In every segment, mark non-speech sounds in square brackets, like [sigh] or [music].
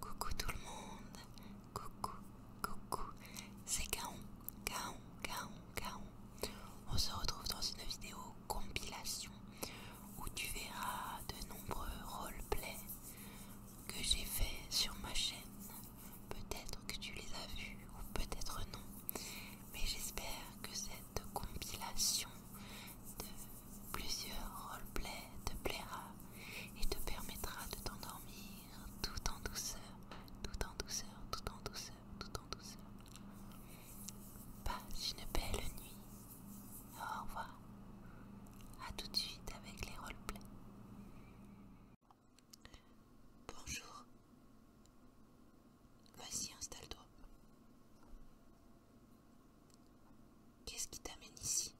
Coucou tout le monde, coucou, coucou, c'est Kaon, Kaon, Kaon, Kaon. On se retrouve dans une vidéo compilation où tu verras de nombreux roleplays que j'ai fait sur ma chaîne. Peut-être que tu les as vus ou peut-être non, mais j'espère que cette compilation de plusieurs roleplays te plaira et te permettra de t'endormir tout en douceur, tout en douceur, tout en douceur, tout en douceur. Passe une belle nuit. Au revoir. À tout de suite avec les roleplays. Bonjour. Vas-y, installe-toi. Qu'est-ce qui t'amène ici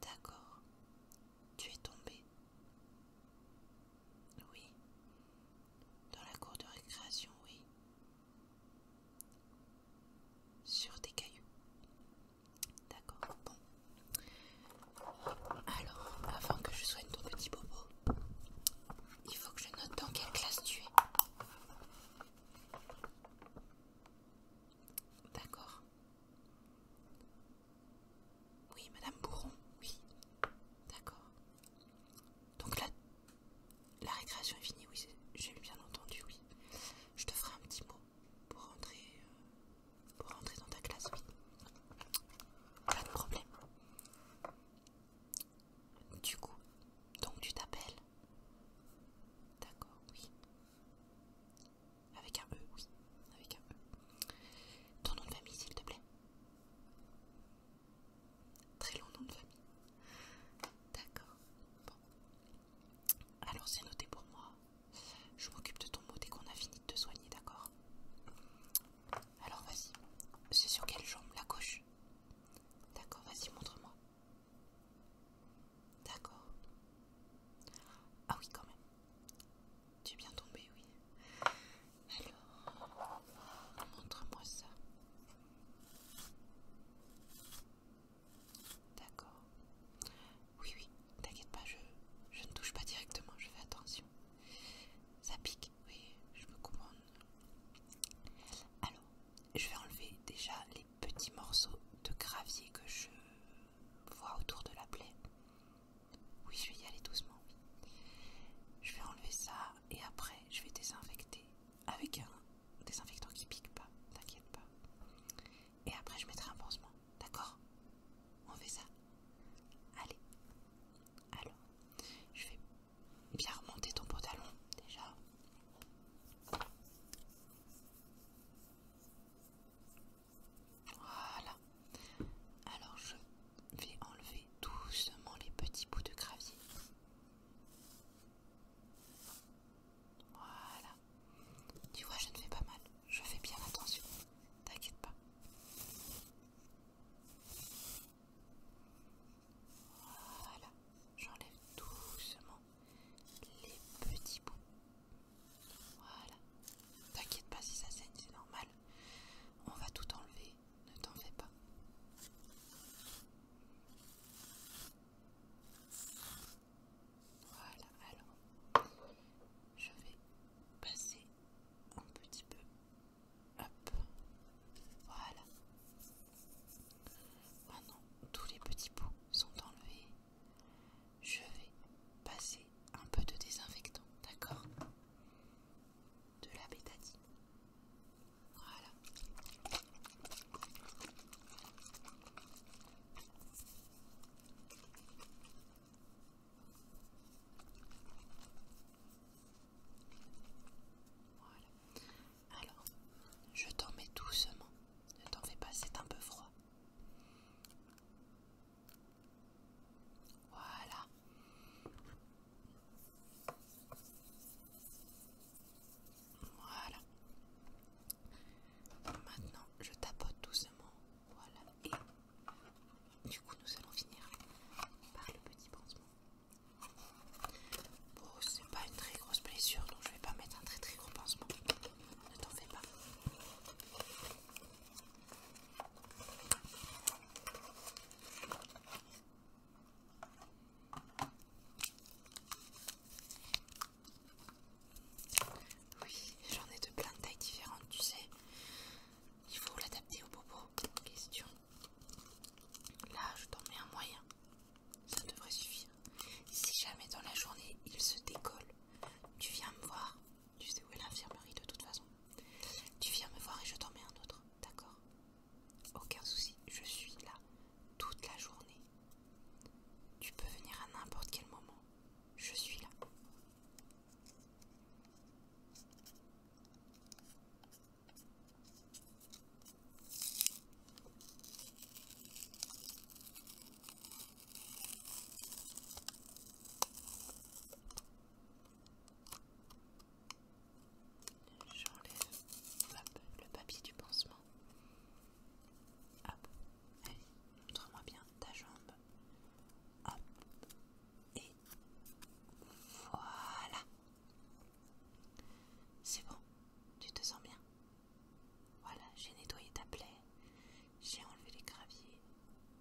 D'accord. Tu es tombé. Oui. Dans la cour de récréation, oui. Sur des cailloux. D'accord, bon. Alors, avant que je soigne ton petit bobo, il faut que je note dans quelle classe tu es. D'accord. Oui, Madame Bourron, oui. D'accord. Donc là, la récréation est finie, oui, j'ai bien entendu, oui. Je te ferai un petit mot pour rentrer, euh, pour rentrer dans ta classe, oui. Pas de problème. Du coup, donc tu t'appelles D'accord, oui. Avec un E, oui. Avec un E. Ton nom de famille, s'il te plaît. Très long nom de famille. D'accord. Bon. Alors c'est noté pour moi. Je m'occupe de ton mot dès qu'on a fini de te soigner, d'accord alors vas-y, c'est sur quelle jambe La gauche D'accord, vas-y, montre-moi. D'accord. Ah oui, quand même. Tu es bien tombé, oui. Alors, montre-moi ça. D'accord. Oui, oui, t'inquiète pas, je, je ne touche pas directement, je fais attention. Ça pique, oui, je me comprends. Alors, je vais enlever déjà les petits morceaux de gravier que je vois autour de la plaie. Oui, je vais y aller doucement. Je vais enlever ça et après je vais désinfecter avec un désinfectant qui pique pas, t'inquiète pas. Et après je mettrai un pansement, d'accord On fait ça Allez. Alors, je vais bien remonter ton pantalon déjà. Voilà. Alors je vais enlever doucement les petits bouts de gravier. Voilà. Tu vois, je ne fais pas mal. Je fais bien attention. T'inquiète pas. Voilà. J'enlève doucement les petits bouts. Voilà. T'inquiète pas si ça saigne, c'est normal. On va tout enlever, ne t'en fais pas. Voilà, alors je vais passer un petit peu. Hop, voilà. Maintenant, tous les petits bouts sont enlevés. Je vais passer un peu de désinfectant, d'accord De la bétadine. Voilà. Voilà. Alors, je t'en mets doucement. Ne t'en fais pas, c'est un peu froid. Voilà. Voilà. Maintenant, je tapote doucement. Voilà. Et du coup, nous allons finir par le petit pansement. Bon, c'est pas une très grosse blessure, donc je vais pas mettre un très très gros pansement. Ne t'en fais pas. Oui, j'en ai de plein de tailles différentes, tu sais. Il faut l'adapter au bobo. Question. Là, je t'en mets un moyen. Ça devrait suffire. Si jamais dans la journée il se décolle, tu viens me voir. Tu sais où est l'infirmerie de toute façon. Tu viens me voir et je t'en mets un autre, d'accord Aucun souci, je suis là toute la journée. Tu peux venir à n'importe quel moment. Je suis là. J'enlève le papier du pansement. Hop, montre-moi bien ta jambe. Hop, et voilà. C'est bon, tu te sens bien. Voilà, j'ai nettoyé ta plaie, j'ai enlevé les graviers,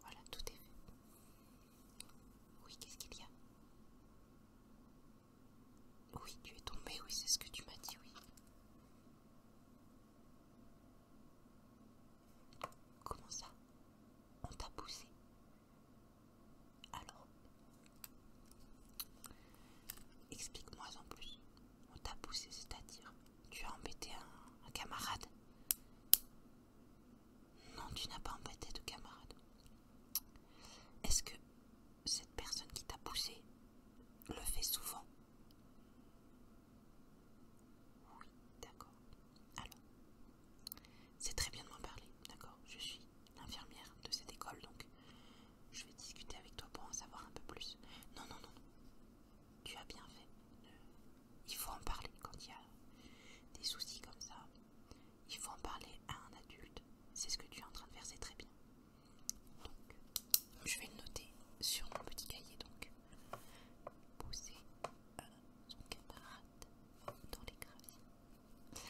voilà, tout est fait. Oui, qu'est-ce qu'il y a Oui, tu es tombé, oui, c'est ce que tu m'as dit, oui. Comment ça On t'a poussé Alors, explique-moi en plus. On t'a poussé, c'est-à-dire Tu as embêté un, camarade Non, tu n'as pas embêté de camarade. Est-ce que cette personne qui t'a poussé le fait souvent Oui, d'accord. Alors, c'est très bien de m'en parler, d'accord Je suis l'infirmière de cette école, donc je vais discuter avec toi pour en savoir un peu plus. Non, Non, non, non, tu as bien fait. Il faut en parler quand il y a des soucis comme ça. Il faut en parler à un adulte. C'est ce que tu es en train de faire, c'est très bien. Donc, je vais le noter sur mon petit cahier. Donc, euh, son camarade dans les graviers.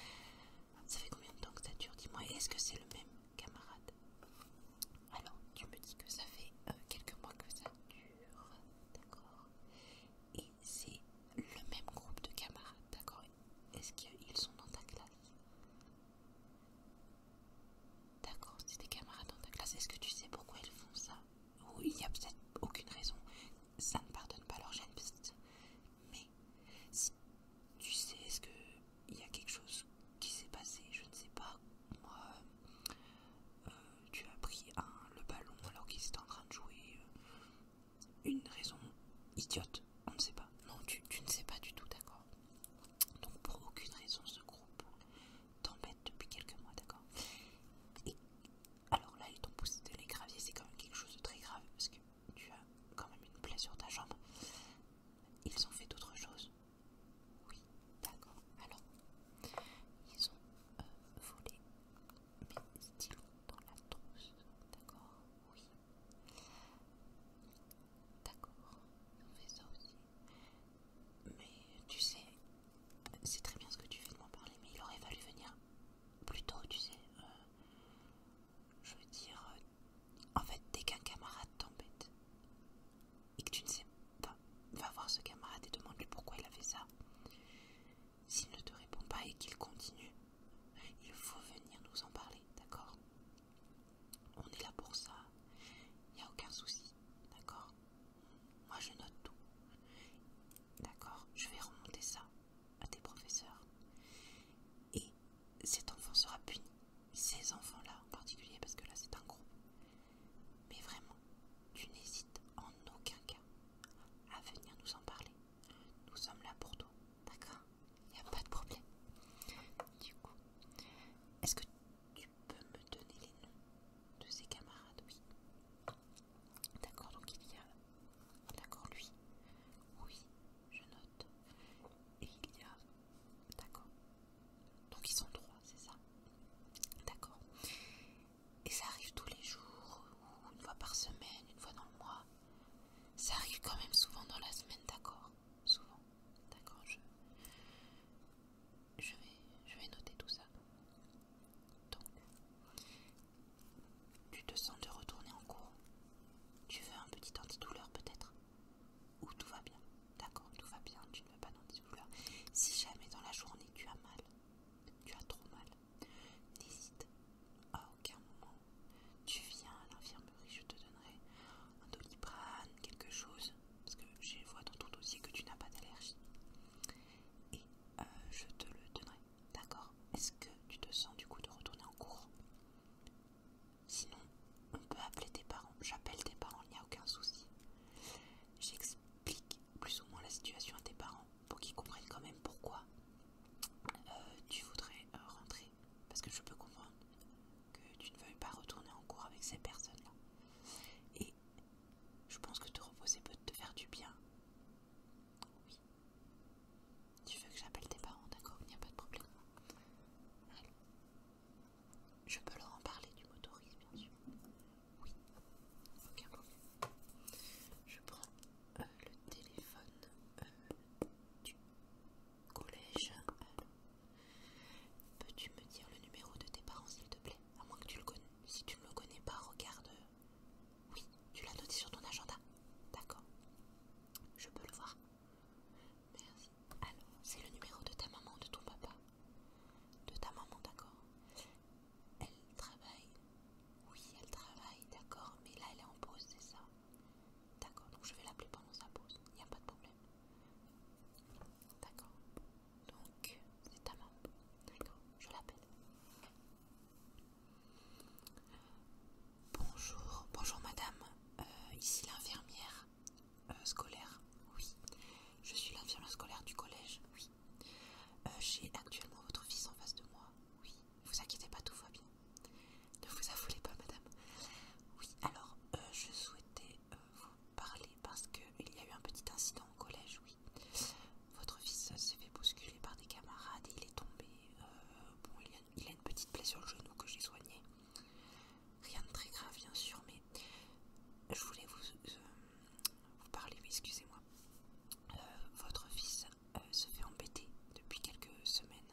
Ça fait combien de temps que ça dure Dis-moi, est-ce que c'est le même camarade alors, tu me dis que ça fait euh, quelques mois que ça dure, d'accord Et c'est le même groupe de camarades, d'accord Est-ce qu'ils sont dans ta classe D'accord, c'est des camarades dans ta classe. Est-ce que tu sais pourquoi ils font ça Ou il n'y a peut-être aucune raison. Ça ne pardonne pas leur gêne, mais tu sais, est-ce qu'il y a quelque chose qui s'est passé, je ne sais pas. Moi, euh, euh, tu as pris le ballon alors qu'ils étaient en train de jouer. Euh, une raison idiote, on ne sait pas. Non, tu, ne sais pas du tout, d'accord Donc, pour aucune raison, ce groupe t'embête depuis quelques mois, d'accord Et alors là, ils t'ont poussé de les graviers, c'est quand même quelque chose de très grave parce que tu as quand même une plaie sur ta jambe. Ils ont fait d'autres choses, oui, d'accord. Alors, ils ont euh, volé mes stylos dans la trousse. D'accord Oui. D'accord, on fait ça aussi. Mais tu sais, c'est très bien ce que tu fais de m'en parler, mais il aurait fallu venir plus tôt, tu sais. Euh, je veux dire, euh, en fait, dès qu'un camarade t'embête, et que tu ne sais pas, va voir ce camarade et demande-lui pourquoi il a fait ça. S'il ne te répond pas et qu'il continue, il faut venir nous en parler, d'accord On est là pour ça. Il n'y a aucun souci, d'accord Moi, je note tout. D'accord Je vais remonter ça à tes professeurs. Et cet enfant sera puni. Ces enfants-là en particulier, parce que là, c'est un groupe. Mais vraiment, tu n'hésites en aucun cas à venir nous en parler. Nous sommes là pour toi, d'accord Il n'y a pas de problème. Du coup, est-ce que tu peux me donner les noms de ses camarades Oui. D'accord, donc il y a... D'accord, lui. Oui, je note. Et il y a... D'accord. Donc ils sont trois, c'est ça D'accord. Et ça arrive tous les jours, une fois par semaine, une fois dans le mois. Ça arrive quand même souvent dans la semaine, d'accord Souvent. D'accord, je... Je, vais, je vais noter tout ça. Donc, tu te sens de retourner en cours Tu veux un petit antidouleur peut-être Ou tout va bien D'accord, tout va bien, tu ne vas pas dans des douleurs. Si jamais dans la journée tu as mal, tu as trop mal, n'hésite à aucun moment. Tu viens à l'infirmerie, je te donnerai un doliprane, quelque chose, parce que je vois dans ton dossier que tu n'as pas d'allergie. Et euh, je te le donnerai. D'accord Est-ce que tu te sens du coup de retourner en cours Sinon, on peut appeler tes parents. J'appelle tes parents, il n'y a aucun souci. J'explique Explique plus ou moins la situation à tes parents pour qu'ils comprennent quand même pourquoi euh, tu voudrais euh, rentrer. Parce que je peux comprendre que tu ne veuilles pas retourner en cours avec ces personnes-là. Et je pense que te reposer peut te faire du bien. Oui. Tu veux que j'appelle tes parents, d'accord Il n'y a pas de problème. Je peux leur en parler du motorisme, bien sûr. Oui, aucun problème. Je prends euh, le téléphone euh, du collège. Euh, peux-tu me dire le numéro de tes parents, s'il te plaît À moins que tu le connais Si tu ne le connais pas, regarde. Oui, tu l'as noté sur ton agenda. D'accord. Je peux le voir. Merci. Alors, c'est le numéro de ta maman ou de ton papa de ta maman, d'accord Elle travaille Oui, elle travaille, d'accord, mais là elle est en pause, c'est ça D'accord, donc je vais l'appeler pendant sa pause, il n'y a pas de problème. D'accord, donc c'est ta maman, d'accord, je l'appelle. Bonjour, bonjour madame, euh, ici l'infirmière euh, scolaire, oui. Je suis l'infirmière scolaire du collège, oui. Euh, j'ai actuellement votre fils en face de moi. Oui. vous inquiétez pas, tout va bien. Ne vous affolez pas, madame. Oui, alors, euh, je souhaitais euh, vous parler parce qu'il y a eu un petit incident au collège, oui. Votre fils s'est fait bousculer par des camarades et il est tombé. bon, il a, une petite plaie sur le genou que j'ai soignée. Rien de très grave, bien sûr, mais je voulais vous, vous parlez, oui, excusez-moi. Euh, votre fils euh, se fait embêter depuis quelques semaines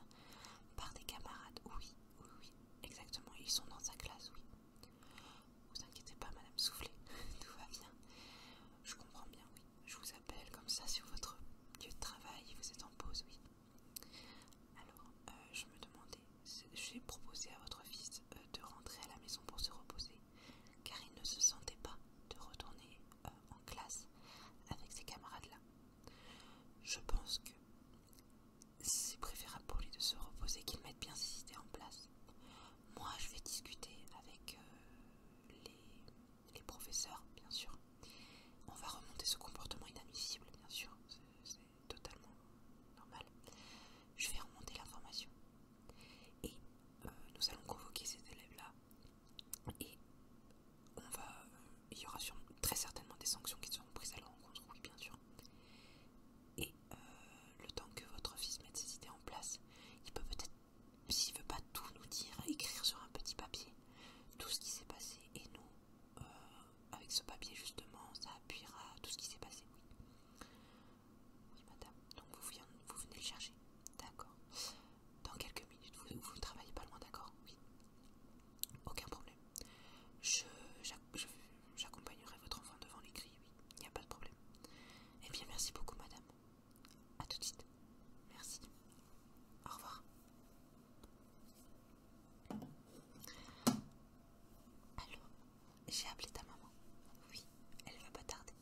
par des camarades. Oui, oui, oui, exactement. Ils sont dans sa classe, oui. Vous inquiétez pas, Madame Soufflé, [laughs] tout va bien. Je comprends bien, oui. Je vous appelle comme ça sur votre lieu de travail. Vous êtes en pause, oui. Alors, euh, je me demandais, j'ai proposé à votre fils de rentrer à la maison pour se reposer car il ne se sentait pas de retourner euh, en classe avec ses camarades-là. Je pense que c'est préférable pour lui de se reposer, qu'il mette bien ses idées en place. Moi, je vais discuter avec euh, les, les professeurs, bien sûr. On va remonter ce comportement inadmissible, bien sûr, c'est totalement normal. Je vais remonter l'information et euh, nous allons convoquer ces élèves-là. Et va, il y aura très certainement des sanctions qui seront prises à leur encontre, oui bien sûr. Et euh, le temps que votre fils mette ses idées en place, il peut peut-être, s'il veut pas tout nous dire, écrire sur un petit papier tout ce qui s'est passé. Et nous, euh, avec ce papier justement, ça appuiera tout ce qui s'est passé, oui. Oui, madame. Donc vous, venez le chercher. D'accord. Dans quelques minutes, vous, ne travaillez pas loin, d'accord Oui. Aucun problème. J'accompagnerai votre enfant devant les oui. Il n'y a pas de problème. Eh bien, merci beaucoup, madame. A tout de suite. Merci. Au revoir. Allô. J'ai appelé ta maman. Oui, elle va pas tarder.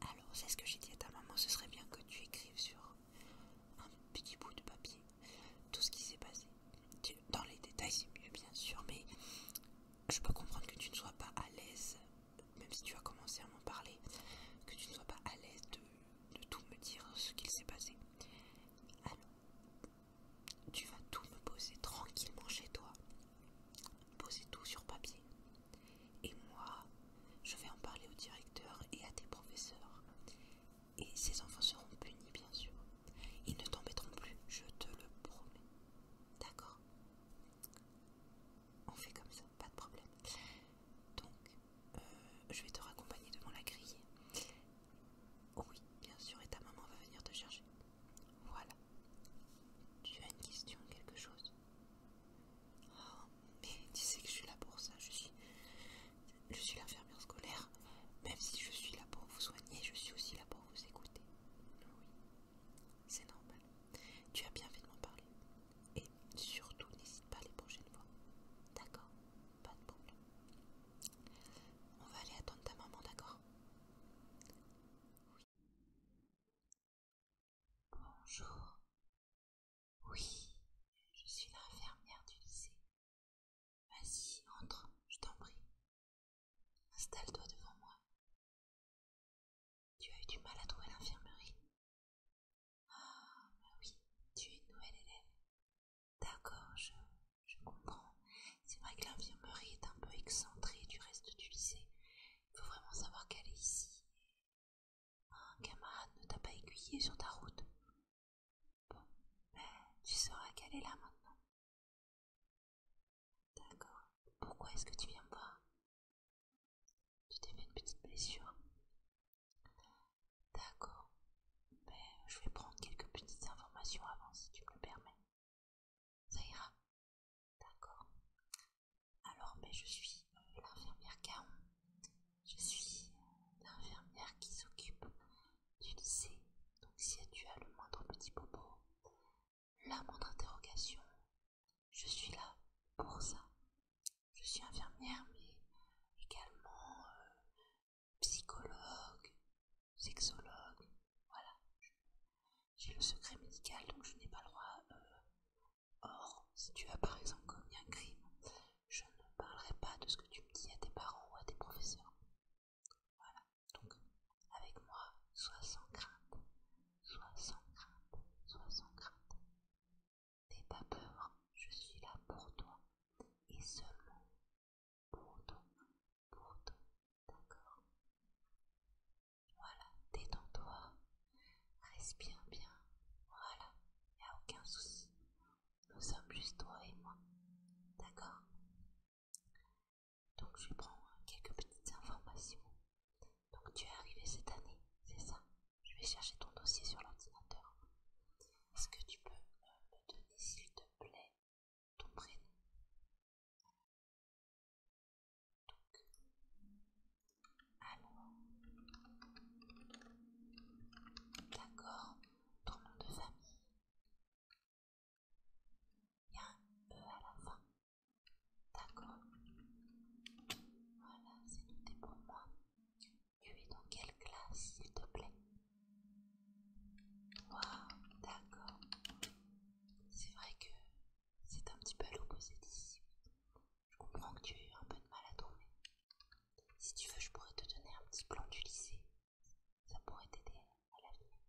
Alors, c'est ce que j'ai dit à ta maman, ce serait bien que tu écrives sur un petit bout de papier tout ce qui s'est passé. Dans les détails, c'est mieux, bien sûr, mais je peux comprendre que tu ne sois pas à l'aise, même si tu as commencé à m'en parler, que tu ne sois pas à l'aise de, de tout me dire ce qu'il s'est passé. Alors, tu vas tout me poser tranquillement chez toi. Posez tout sur papier. Et moi, je vais en parler au directeur et à tes professeurs. Et ces enfants seront punis, bien sûr. Ils ne t'embêteront plus, je te le promets. D'accord On fait comme ça, pas de problème. Donc, euh, je vais te raccompagner devant la grille. oui, bien sûr, et ta maman va venir te chercher. Voilà. Tu as une question, quelque chose Oh, mais tu sais que je suis là pour ça, je suis... Je suis l'infirmière scolaire. Même si je suis là pour vous soigner, je suis aussi là pour vous écouter. Oui, c'est normal. Tu as bien fait de m'en parler. Et surtout, n'hésite pas les prochaines fois. D'accord Pas de problème. On va aller attendre ta maman, d'accord Oui. Bonjour. Oui, je suis l'infirmière du lycée. Vas-y, entre, je t'en prie. Installe-toi devant moi. Tu as eu du mal à trouver l'infirmerie Ah, bah oui, tu es une nouvelle élève. D'accord, je, je comprends. C'est vrai que l'infirmerie est un peu excentrée du reste du lycée il faut vraiment savoir qu'elle est ici. Un camarade ne t'a pas aiguillé sur ta route. Bon, mais ben, tu sauras qu'elle est là maintenant. D'accord. Pourquoi est-ce que tu viens me voir Tu t'es fait une petite blessure. D'accord. Mais ben, je vais prendre quelques petites informations avant si tu me le permets. Ça ira. D'accord. Alors, mais ben, je suis l'infirmière Caron. Je suis l'infirmière qui s'occupe du lycée. Donc, si tu as le moindre petit bobo, la moindre interrogation, je suis là pour ça. Je suis infirmière, mais également euh, psychologue, sexologue. Voilà. J'ai le secret médical, donc je n'ai pas le droit. Euh, Or, si tu as par exemple commis un crime, je ne parlerai pas de ce que tu me dis à tes parents ou à tes professeurs. Voilà, donc avec moi, sois sans crainte, sois sans crainte, sois sans crainte. N'aie pas peur, je suis là pour toi et seulement pour toi, pour toi, d'accord voilà, détends-toi. Respire bien. Voilà, il a aucun souci. Nous sommes juste toi et moi. D'accord Donc je prends quelques petites informations. Donc tu es arrivé cette année, c'est ça Je vais chercher ton dossier sur l'ordinateur. Est-ce que tu peux euh, me donner, s'il te plaît, ton prénom alors, d'accord, ton nom de famille. Il y a un E à la fin. D'accord. Voilà, c'est tout pour moi. Tu es dans quelle classe, s'il te plaît Waouh, d'accord. C'est vrai que c'est un petit peu à l'opposé d'ici. Je comprends que tu as eu un peu de mal à trouver. Si tu veux, je pourrais te donner un petit plan du lycée. Ça pourrait t'aider à l'avenir.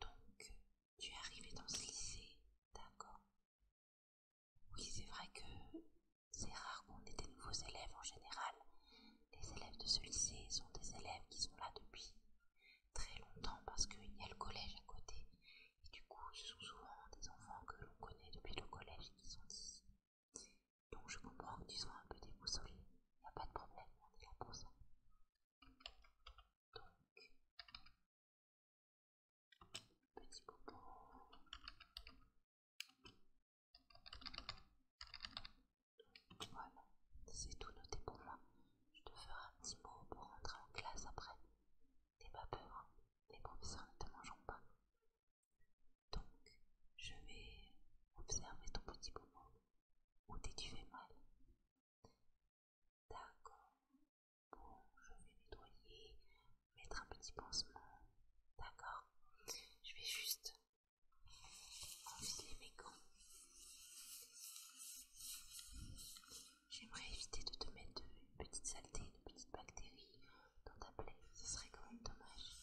Donc, tu es arrivé dans ce lycée, d'accord Oui, c'est vrai que c'est rare qu'on ait des nouveaux élèves en général. Les élèves de ce lycée sont des élèves qui sont là depuis très longtemps parce qu'il y a le collège à côté. Et du coup, ce sont souvent des enfants que l'on connaît depuis le collège qui sont ici. Donc je comprends que tu sois un peu déboussolé. Il n'y a pas de problème, on est là pour ça. Donc, petit popo. Voilà, c'est tout noté pour moi. Je te ferai un petit mot pour rentrer en classe après. T'es pas peur, hein. les professeurs ne te mangeront pas. Donc, je vais observer ton petit boumon. Où t'es-tu fais mal D'accord. Bon, je vais nettoyer, mettre un petit pansement. D'accord. Je vais juste enfiler mes gants. J'aimerais éviter de te mettre une petite saleté, une petite bactérie dans ta plaie. Ce serait quand même dommage.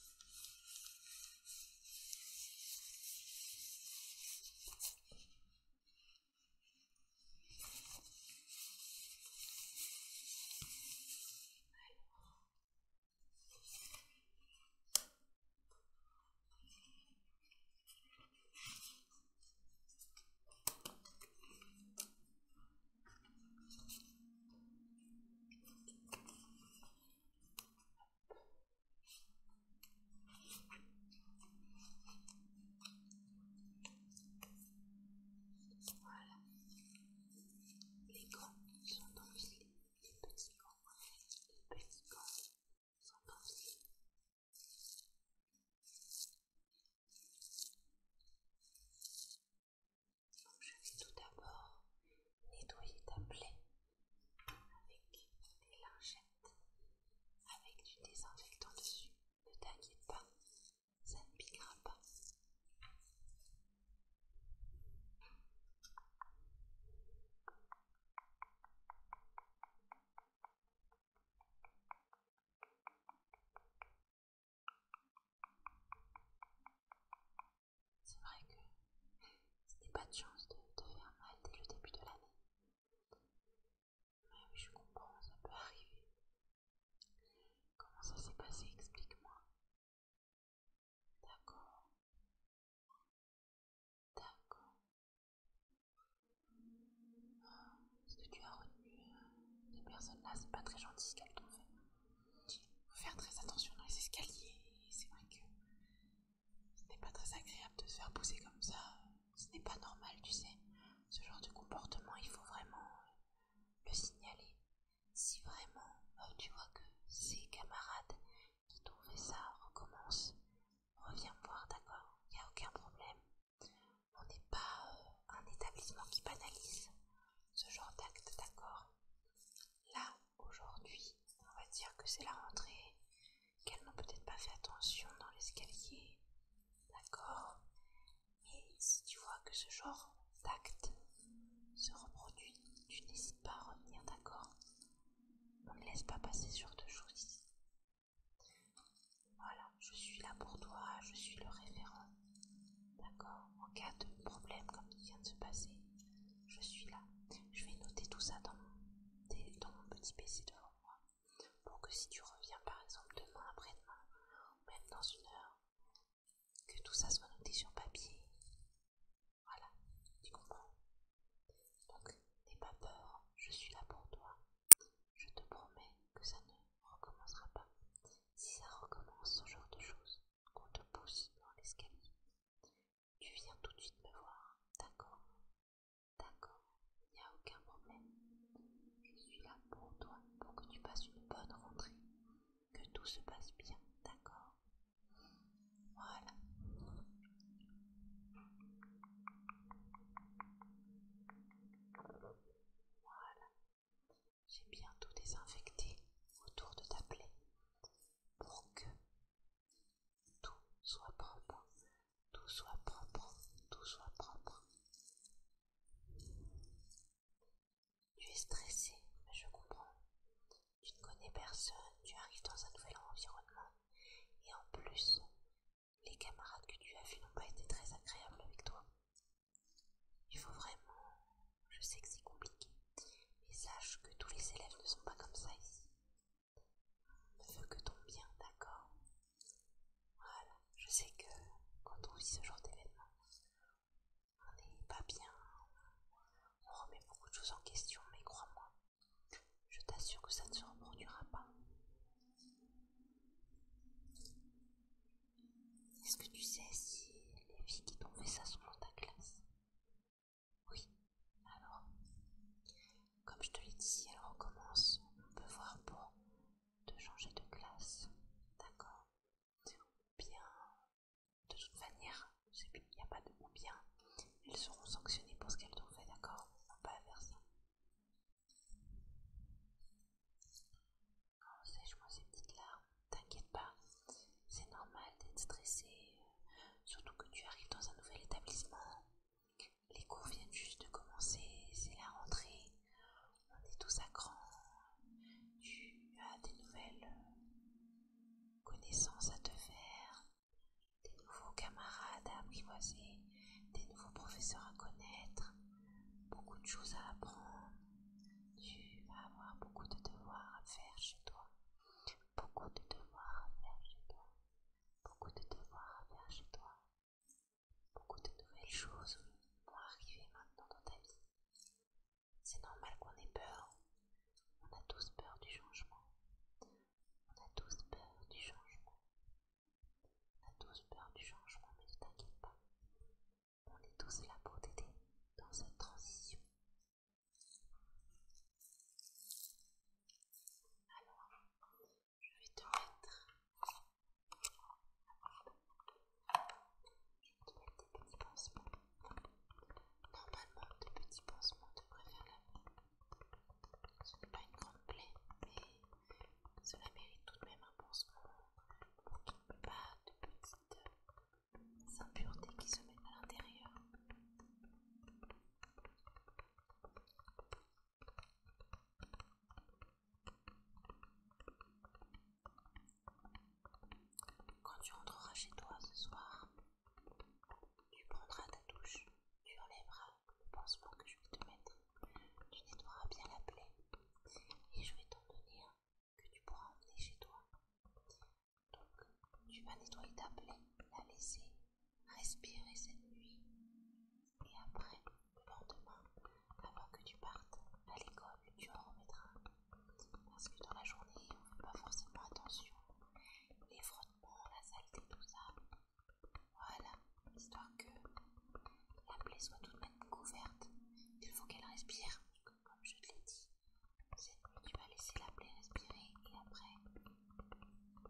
Voilà, les grands sont dans les petits les petits sont je vais tout d'abord nettoyer ta plaie avec des lingettes, avec du désinfectant dessus. Ne t'inquiète pas, ça ne piquera pas. C'est vrai que c'était pas de chance de te faire mal dès le début de l'année. Mais oui, je comprends, ça peut arriver. Comment ça s'est passé Explique-moi. D'accord. D'accord. Ce que tu as retenu les euh, personnes-là, c'est pas très gentil ce qu'elles trouvent. il Faut faire très attention dans les escaliers. C'est vrai que ce n'est pas très agréable de se faire pousser comme ça. Ce n'est pas normal, tu sais. Ce genre de comportement, il faut vraiment euh, le signaler. Si vraiment euh, tu vois que ces camarades qui t'ont ça recommencent, Reviens voir, d'accord Il n'y a aucun problème. On n'est pas euh, un établissement qui banalise ce genre d'acte, d'accord Là, aujourd'hui, on va dire que c'est la rentrée, qu'elles n'ont peut-être pas fait attention dans l'escalier, d'accord Mais si tu vois que ce genre d'acte se reproduit, tu n'hésites pas à revenir, d'accord On ne laisse pas passer sur genre de choses ici, voilà, je suis là pour toi, je suis le référent. D'accord En cas de problème comme qui vient de se passer, je suis là. Je vais noter tout ça dans mon, petit PC devant moi. Pour que si tu reviens par exemple demain, après-demain, ou même dans une heure, que tout ça soit noté sur papier. Voilà, tu comprends Donc, n'aie pas peur, je suis là pour toi. Je te promets que ça ne recommencera pas. Si ça recommence ce genre de choses, qu'on te pousse dans l'escalier, tu viens tout de suite me voir, d'accord D'accord, il n'y a aucun problème. Je suis là pour toi, pour que tu passes une bonne rentrée, que tout se passe bien, d'accord Voilà. Voilà. J'ai tout désinfecté autour de ta plaie pour que tout soit propre, tout soit propre, tout soit propre. Tu es stressé, je comprends. Tu ne connais personne, tu arrives dans un nouvel environnement et en plus, les camarades que tu as vus n'ont pas été très agréables avec toi. Il faut vraiment... Je sais que c'est compliqué, mais sache que tous les élèves ne sont pas comme ça ici. On ne veut que ton bien, d'accord Voilà, je sais que quand on vit ce genre d'événement, on n'est pas bien, on remet beaucoup de choses en question, mais crois-moi, je t'assure que ça ne se reproduira pas. Est-ce que tu sais si les filles qui t'ont fait ça sont dans ta classe Oui. Alors, comme je te l'ai dit, si elle recommence, on peut voir pour te changer de classe. D'accord Ou bien, de toute manière, il n'y a pas de ou bien. Elles seront sanctionnées pour ce qu'elles t'ont fait, d'accord On va pas faire ça. Quand sèche-moi ces petites larmes, t'inquiète pas, c'est normal d'être stressé, euh, surtout que tu arrives dans un nouvel établissement. Les cours viennent juste de commencer, c'est la rentrée, on est tous à grand, Tu as des nouvelles euh, connaissances à te faire, des nouveaux camarades à apprivoiser des nouveaux professeurs à connaître, beaucoup de choses à apprendre. Tu vas avoir beaucoup de devoirs à faire chez toi. Beaucoup de devoirs à faire chez toi. Beaucoup de devoirs à faire chez toi. Beaucoup de nouvelles choses vont arriver maintenant dans ta vie. C'est normal qu'on ait peur. On a tous peur du changement. On a tous peur du changement la douce tous peur du changement, mais ne t'inquiète pas. On est tous là pour t'aider dans cette transition. Alors, je vais te mettre. Je vais te mettre des petits pansements. Normalement, des petits pansements la même. Ce n'est pas une grande plaie, mais cela mérite tout de même un pansement pour qu'il n'y ait pas de petites impuretés qui se mettent à l'intérieur. Quand tu rentreras chez toi ce soir, tu prendras ta douche, tu bras pense-moi que je vais te mettre. Tu nettoieras bien la plaie et je vais t'en donner que tu pourras emmener chez toi. Donc, tu vas nettoyer ta plaie, la laisser respirer cette nuit et après, le lendemain, avant que tu partes à l'école, tu en remettras. Parce que dans la journée, on ne fait pas forcément attention. Les frottements, la saleté, tout ça, voilà, histoire que la plaie soit tout de même couverte. Il faut qu'elle respire, comme je te l'ai dit, tu vas laisser la plaie respirer et après.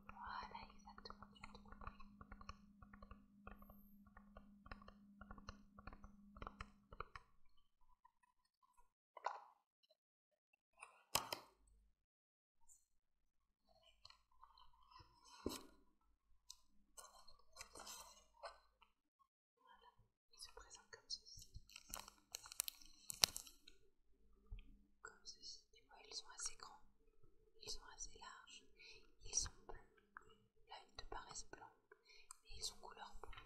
Voilà, exactement, voilà, ils se présentent comme ceci. Comme ceci, tu vois, ils sont assez grands, ils sont assez larges, ils sont blancs, Là, ils te paraissent blancs, mais ils sont couleur bleue.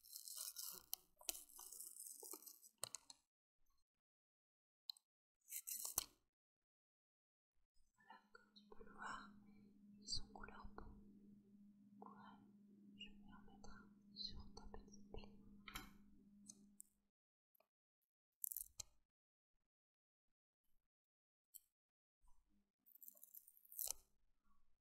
Voilà, comme tu peux le voir, ils sont couleur beaux ouais, je vais en mettre un sur ta petite plaie.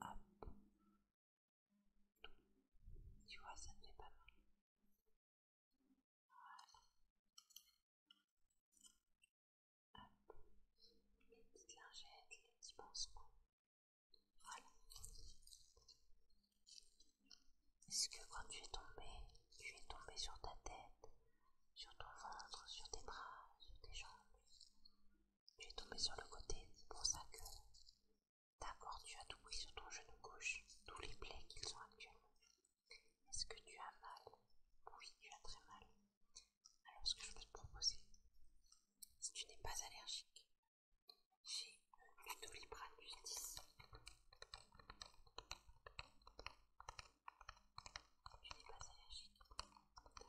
Hop. Tu vois, ça ne fait pas mal. Voilà. Hop. Les petites lingettes, les petits pansements. Voilà. Est-ce que quand tu es tombé, tu es tombé sur ta tête, sur ton ventre, sur tes bras, sur tes jambes tu es tombé sur le côté, pour ça que. d'accord tu as tout pris sur ton genou gauche, tous les plaies qu'ils sont actuellement. Est-ce que tu as mal Oui, tu as très mal. Alors, ce que je peux te proposer, si tu n'es pas allergique, j'ai le doliprane du 10. Tu n'es pas allergique D'accord.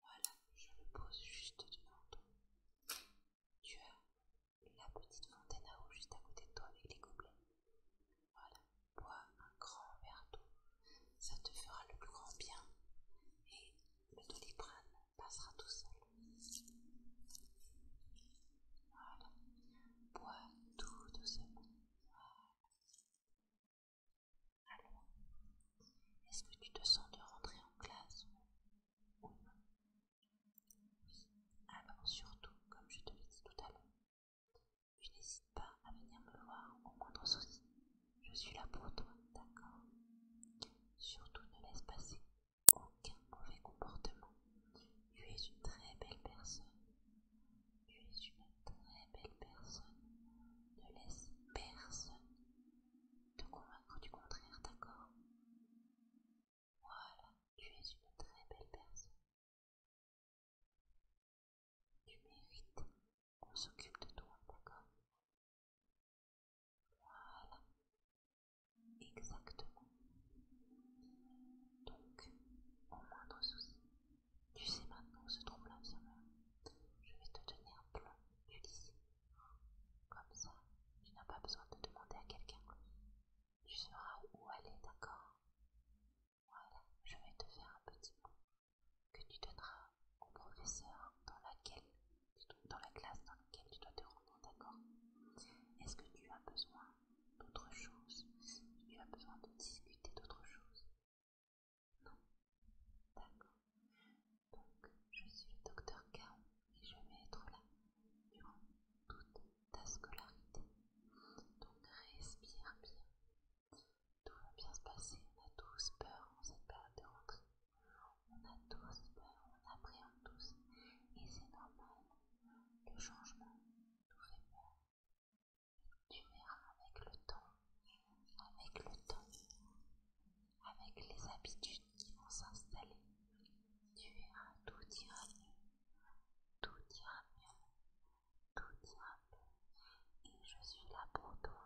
Voilà, je le pose juste devant toi Tu as la petite fontaine à eau juste à côté de toi avec les gobelets. Voilà, bois un grand verre d'eau, ça te fera le plus grand bien. Et le doliprane passera tout seul. Voilà. Bois tout doucement. Voilà. Alors, est-ce que tu te sens de rentrer en classe ou non Oui. Alors, surtout, comme je te l'ai dit tout à l'heure, je n'hésite pas à venir me voir au moindre souci. Je suis là pour toi, d'accord Surtout ne laisse passer aucun mauvais comportement. Tu es une très belle personne. Tu es une très belle personne. Ne laisse personne te convaincre du contraire, d'accord Voilà, tu es une très belle personne. Tu mérites qu'on s'occupe de toi, d'accord voilà. Exactement. Donc, au moindre souci, tu sais maintenant où se trouve l'infirmière. Je vais te tenir plein du lycée. Comme ça, tu n'as pas besoin de demander à quelqu'un. Tu sauras où aller, d'accord Voilà, je vais te faire un petit mot que tu donneras au professeur dans laquelle dans la classe dans laquelle tu dois te rendre, d'accord Est-ce que tu as besoin d'autre chose Tu as besoin de discuter d'autre chose Non D'accord. Donc, je suis le docteur Caron et je vais être là durant toute ta scolarité. Donc, respire bien. Tout va bien se passer, on a tous peur en cette période de rentrée. On a tous peur, on appréhende tous, et c'est normal. Le changement, tout fait peur. Tu verras avec le temps, avec le temps, avec les habitudes qui vont s'installer, tu verras tout ira mieux, tout ira mieux, tout ira mieux. Et je suis là pour toi,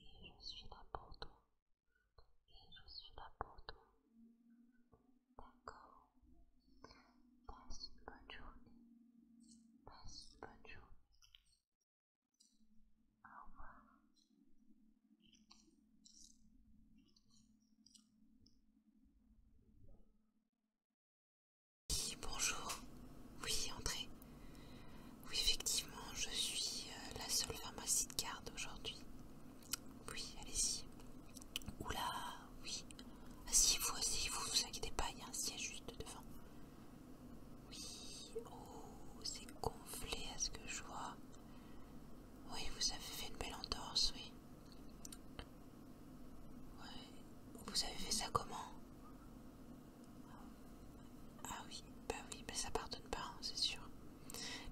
et je suis là pour toi et je suis là pour toi. D'accord Passe une bonne journée. Passe une bonne journée. Au revoir. Oui, bonjour. Oui, entrez. Oui, effectivement, je suis euh, la seule pharmacie de garde aujourd'hui. Oui, allez-y. Oula, oui. Asseyez-vous, ah, asseyez-vous, ne vous inquiétez pas, il y a un siège juste devant. Oui, oh, c'est gonflé à ce que je vois. Oui, vous avez fait une belle entorse, oui. Ouais. Vous avez fait ça comment Ah oui, bah oui, mais bah ça pardonne pas, hein, c'est sûr.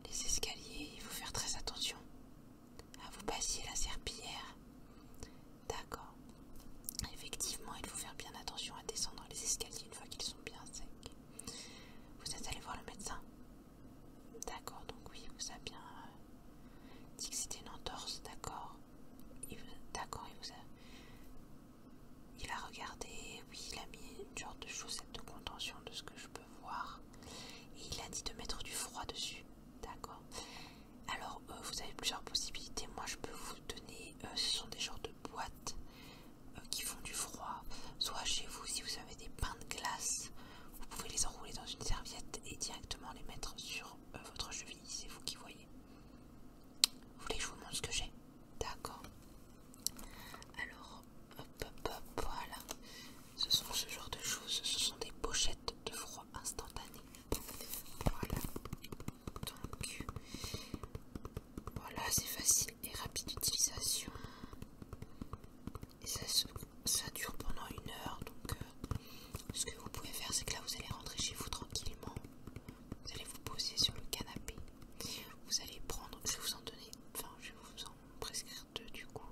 Les escaliers, il faut faire très attention. à ah, vous passer la serpillière. D'accord. Effectivement, il faut faire bien attention à descendre les escaliers une fois qu'ils sont bien secs. Vous êtes allé voir le médecin D'accord, donc oui, il vous a bien euh, dit que c'était une entorse, d'accord. D'accord, il vous a... Il a regardé, oui, il a mis une de chaussette de contention de ce que je peux voir. Et il a dit de mettre du froid dessus. D'accord. Alors, euh, vous avez plusieurs possibilités. Moi, je peux vous donner. Euh, ce sont des genres de boîtes euh, qui font du froid. Soit chez vous, si vous avez des pains de glace, vous pouvez les enrouler dans une serviette et directement les mettre sur votre cheville. C'est vous qui voyez. Vous voulez que je vous montre ce que j'ai D'accord. Alors, voilà. Ce sont ce genre de choses, ce sont des pochettes de froid instantané. Voilà. Donc, voilà, c'est facile et rapide d'utilisation. Et ça, ça dure pendant une heure. Donc, euh, ce que vous pouvez faire, c'est que là, vous allez rentrer chez vous tranquillement. Vous allez vous poser sur le canapé. Vous allez prendre, je vais vous en donner, enfin, je vais vous prescrire deux du coup.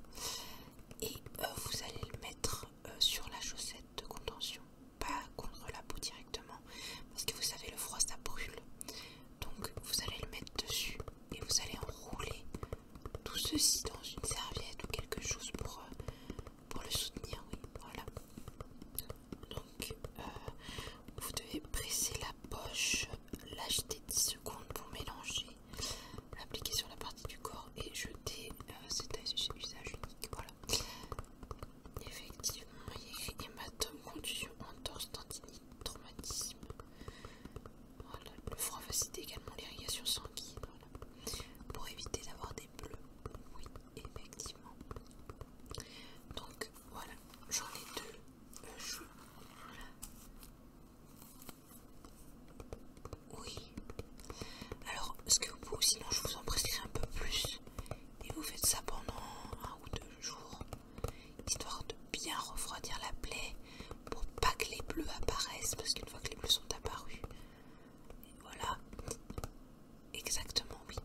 Et euh, vous allez le mettre euh, sur la chaussette de contention, pas contre la peau directement, parce que vous savez le froid ça brûle. Donc vous allez le mettre dessus et vous allez enrouler tout ceci dans une serviette ou quelque chose pour, euh, pour le soutenir, oui, voilà. Donc vous devez presser la poche l'acheter 10 secondes pour mélanger, appliquer sur la partie du corps et jeter. Euh, cet C'est usage unique. Voilà. Effectivement, il y a écrit hématome, contusion, entorse, tendinite, traumatisme. Voilà. Le froid facilite également l'irrigation sanguine. Pour éviter d'avoir des bleus. Oui, effectivement. Donc voilà, j'en ai deux. Oui. Alors, ce que vous, sinon je vous en prescris un peu plus et vous faites ça pendant un ou deux jours, histoire de bien refroidir la plaie pour pas que les bleus apparaissent, parce qu'une fois que les bleus sont apparus, voilà. Exactement, oui.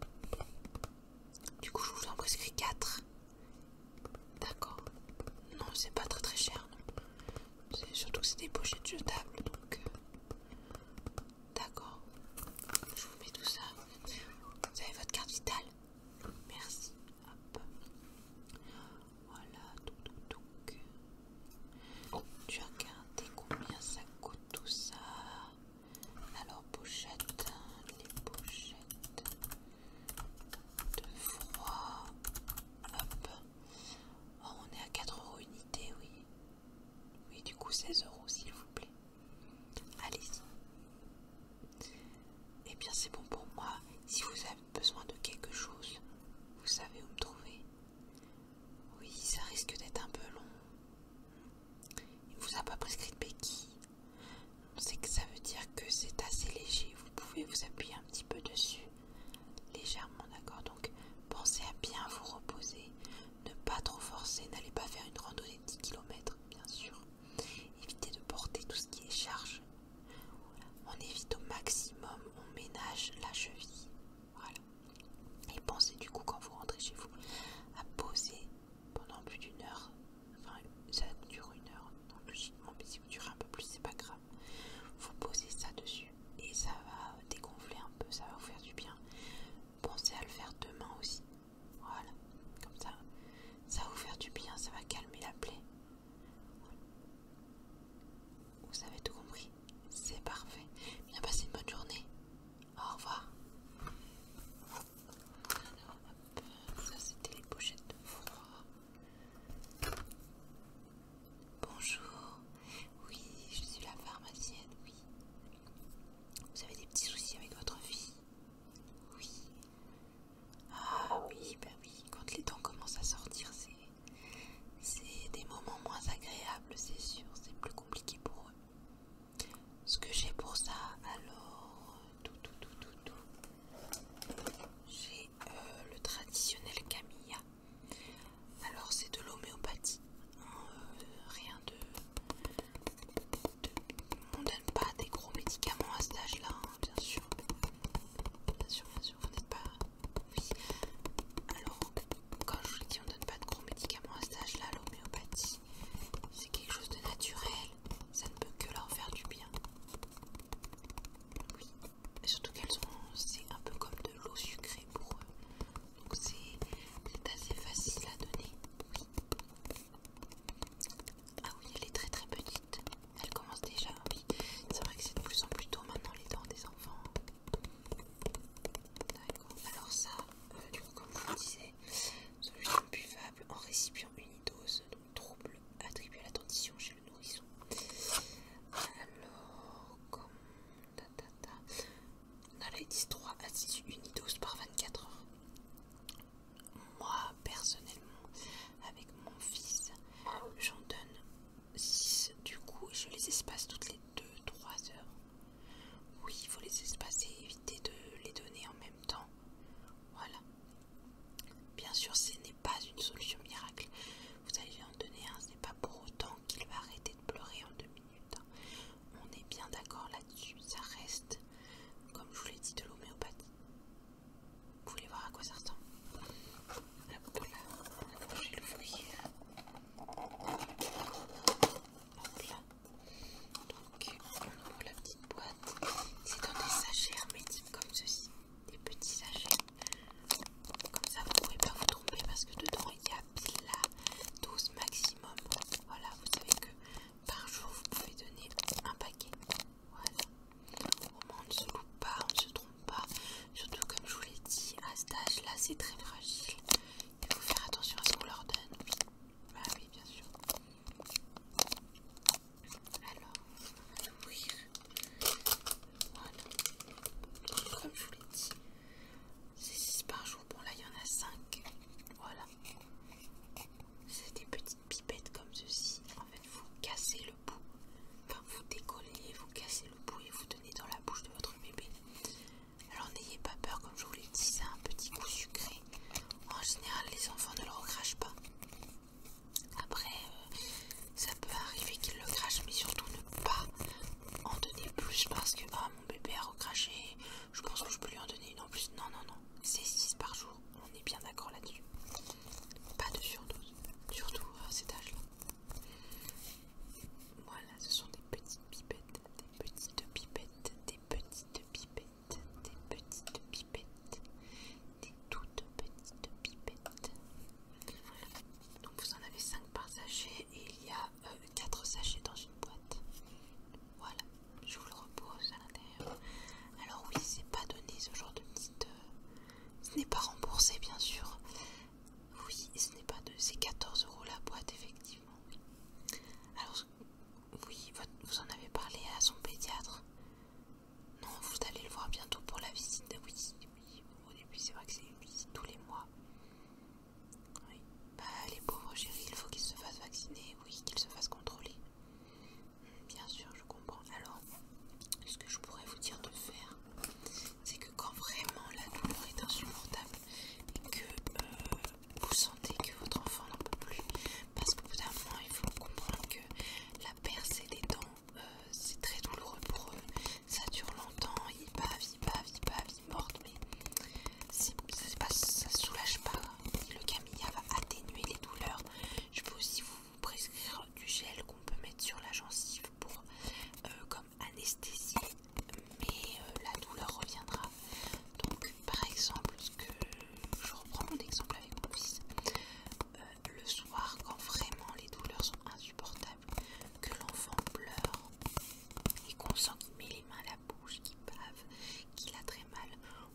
Du coup, je vous en prescris 4. D'accord. Non, c'est pas très très cher. Non. Surtout que c'est des pochettes jetables, donc... Euh, d'accord. Je vous mets tout ça. Vous avez votre carte vitale Merci. Hop. Voilà, donc, tu as regardé combien ça coûte tout ça Alors, pochettes, hein, les pochettes de froid. Hop. Oh, on est à 4 euros unité, oui. Oui, du coup 16 euros s'il vous plaît. Allez-y. Eh bien, c'est bon pour moi. Si vous avez besoin de quelque chose, vous savez où me trouver. Oui, ça risque d'être un peu long. Il vous a pas prescrit de béquilles c'est que ça veut dire que c'est assez léger. Vous pouvez vous appuyer un petit peu dessus, légèrement, d'accord Donc, pensez à bien vous reposer, ne pas trop forcer, n'allez pas faire une randonnée de 10 km, bien sûr. Évitez de porter tout ce qui est charge. On évite au maximum, on ménage la cheville. Voilà. Et pensez du coup quand vous rentrez chez vous à poser pendant plus d'une heure, enfin ça dure une heure, donc logiquement, mais si vous durez un peu plus, c'est pas grave. Vous posez ça dessus et ça va dégonfler un peu, ça va vous faire du bien. Pensez à le faire demain aussi. Voilà, comme ça, ça va vous faire du bien, ça va calmer la plaie. Vous avez tout compris, c'est parfait. Bien passé une bonne journée. Au revoir. ça c'était les pochettes de froid. Bonjour, oui, je suis la pharmacienne, oui. Vous avez des petits soucis avec votre fille Oui. Ah oui, ben oui, quand les temps commencent à sortir, c'est des moments moins agréables, c'est sûr, c'est plus compliqué pour eux. Ce que j'ai pour ça, alors, euh, tout, tout, tout, tout, tout. J'ai euh, le traditionnel Camilla. Alors c'est de l'homéopathie. Euh, rien de, On donne pas des gros médicaments à cet âge-là, hein, bien sûr. Bien sûr, bien sûr, vous n'êtes pas... Alors, quand je vous dis on donne pas de gros médicaments à cet âge-là, l'homéopathie, c'est quelque chose de naturel. Ça ne peut que leur faire du bien. Oui, surtout qu'elles sont c'est un peu comme de l'eau sucrée pour eux donc c'est assez facile à donner ah oui elle est très très petite elle commence déjà oui c'est vrai que c'est de plus en plus tôt maintenant les dents des enfants d'accord alors ça euh, du coup comme je vous disais solution buvable en récipient unidose donc trouble attribué à l'attention chez nourrisson. Alors, comme. Ta, ta, les 10, 3 à 6, unidos par 24 heures. Moi, personnellement, avec mon fils, j'en donne 6 du coup et je les espace toutes les 2-3 heures. Oui, il faut les espacer, éviter de les donner en même temps. Voilà. Bien sûr, ce n'est pas une solution miracle. Vous allez en donner un, ce n'est pas pour autant qu'il va arrêter de pleurer en deux minutes. Hein. On est bien d'accord là-dessus. Ça reste, comme je vous l'ai dit, de l'homéopathie. Vous voulez voir à quoi ça ressemble Hop là, Hop là. Donc, la petite boîte. C'est dans des sachets hermétiques comme ceci des petits sachets. Comme ça, vous pouvez pas vous tromper parce que dedans il y a pile la 12 maximum. Voilà, vous savez que par jour vous pouvez donner un paquet. Voilà. Au moins on ne se loupe pas, on ne se trompe pas. Surtout comme je vous l'ai dit, à cet âge là c'est très fragile. Il faut faire attention à ce qu'on leur donne. Bah bien sûr. Alors, on va Voilà. Comme je vous l'ai dit, c'est 6 par jour. Bon, là, il y en a 5. Voilà. C'est des petites pipettes comme ceci. En fait, vous cassez le bout. Enfin, vous décollez, vous cassez le bout et vous tenez dans la bouche de votre bébé. Alors, n'ayez pas peur, comme je vous l'ai dit, c'est un petit goût sucré. En général, les enfants ne le recrachent pas. Après, euh, ça peut arriver qu'il le crache, mais surtout ne pas en donner plus parce que ah, mon bébé a recraché, je pense que je peux lui en donner une en plus. Non, non, non, c'est 6 par jour, on est bien d'accord là-dessus. Pas de surdose, surtout à cet âge-là. Voilà, ce sont des petites pipettes, des petites pipettes, des petites pipettes, des petites pipettes, des toutes petites pipettes. Donc vous en avez 5 par sachet et il y a 4 euh, sachets dans une boîte. Voilà, je vous le repose à l'intérieur. Alors oui, c'est pas donné ce genre de petite... ce n'est pas remboursé bien sûr. Oui, ce n'est pas de... C'est 14 euros la boîte effectivement. Alors oui, vous en avez parlé à son pédiatre. Non, vous allez le voir bientôt pour la visite. Oui, oui, au début c'est vrai que c'est une visite tous les mois. Oui. Bah les pauvres chéris, il faut qu'ils se fassent vacciner, oui, qu'ils se fassent contrôler. Hmm, bien sûr, je comprends. Alors, ce que je pourrais vous dire de faire, c'est que quand vraiment la douleur est insupportable et que euh, vous sentez que votre enfant n'en peut plus, parce que bout il faut comprendre que la percée des dents euh, c'est très douloureux pour eux, ça dure longtemps, ils bavent, ils pas ils bavent, ils mordent, mais ça ne soulage pas. Le camilla va atténuer les douleurs. Je peux aussi vous prescrire du gel qu'on peut mettre sur la gencive pour euh, comme anesthésie, mais euh, la douleur reviendra. Donc, par exemple, que je reprends mon exemple avec mon fils le soir quand vraiment les douleurs sont insupportables, que l'enfant pleure et qu'on sent qu'il met les mains à la bouche, qu'il bave, qu'il a très mal,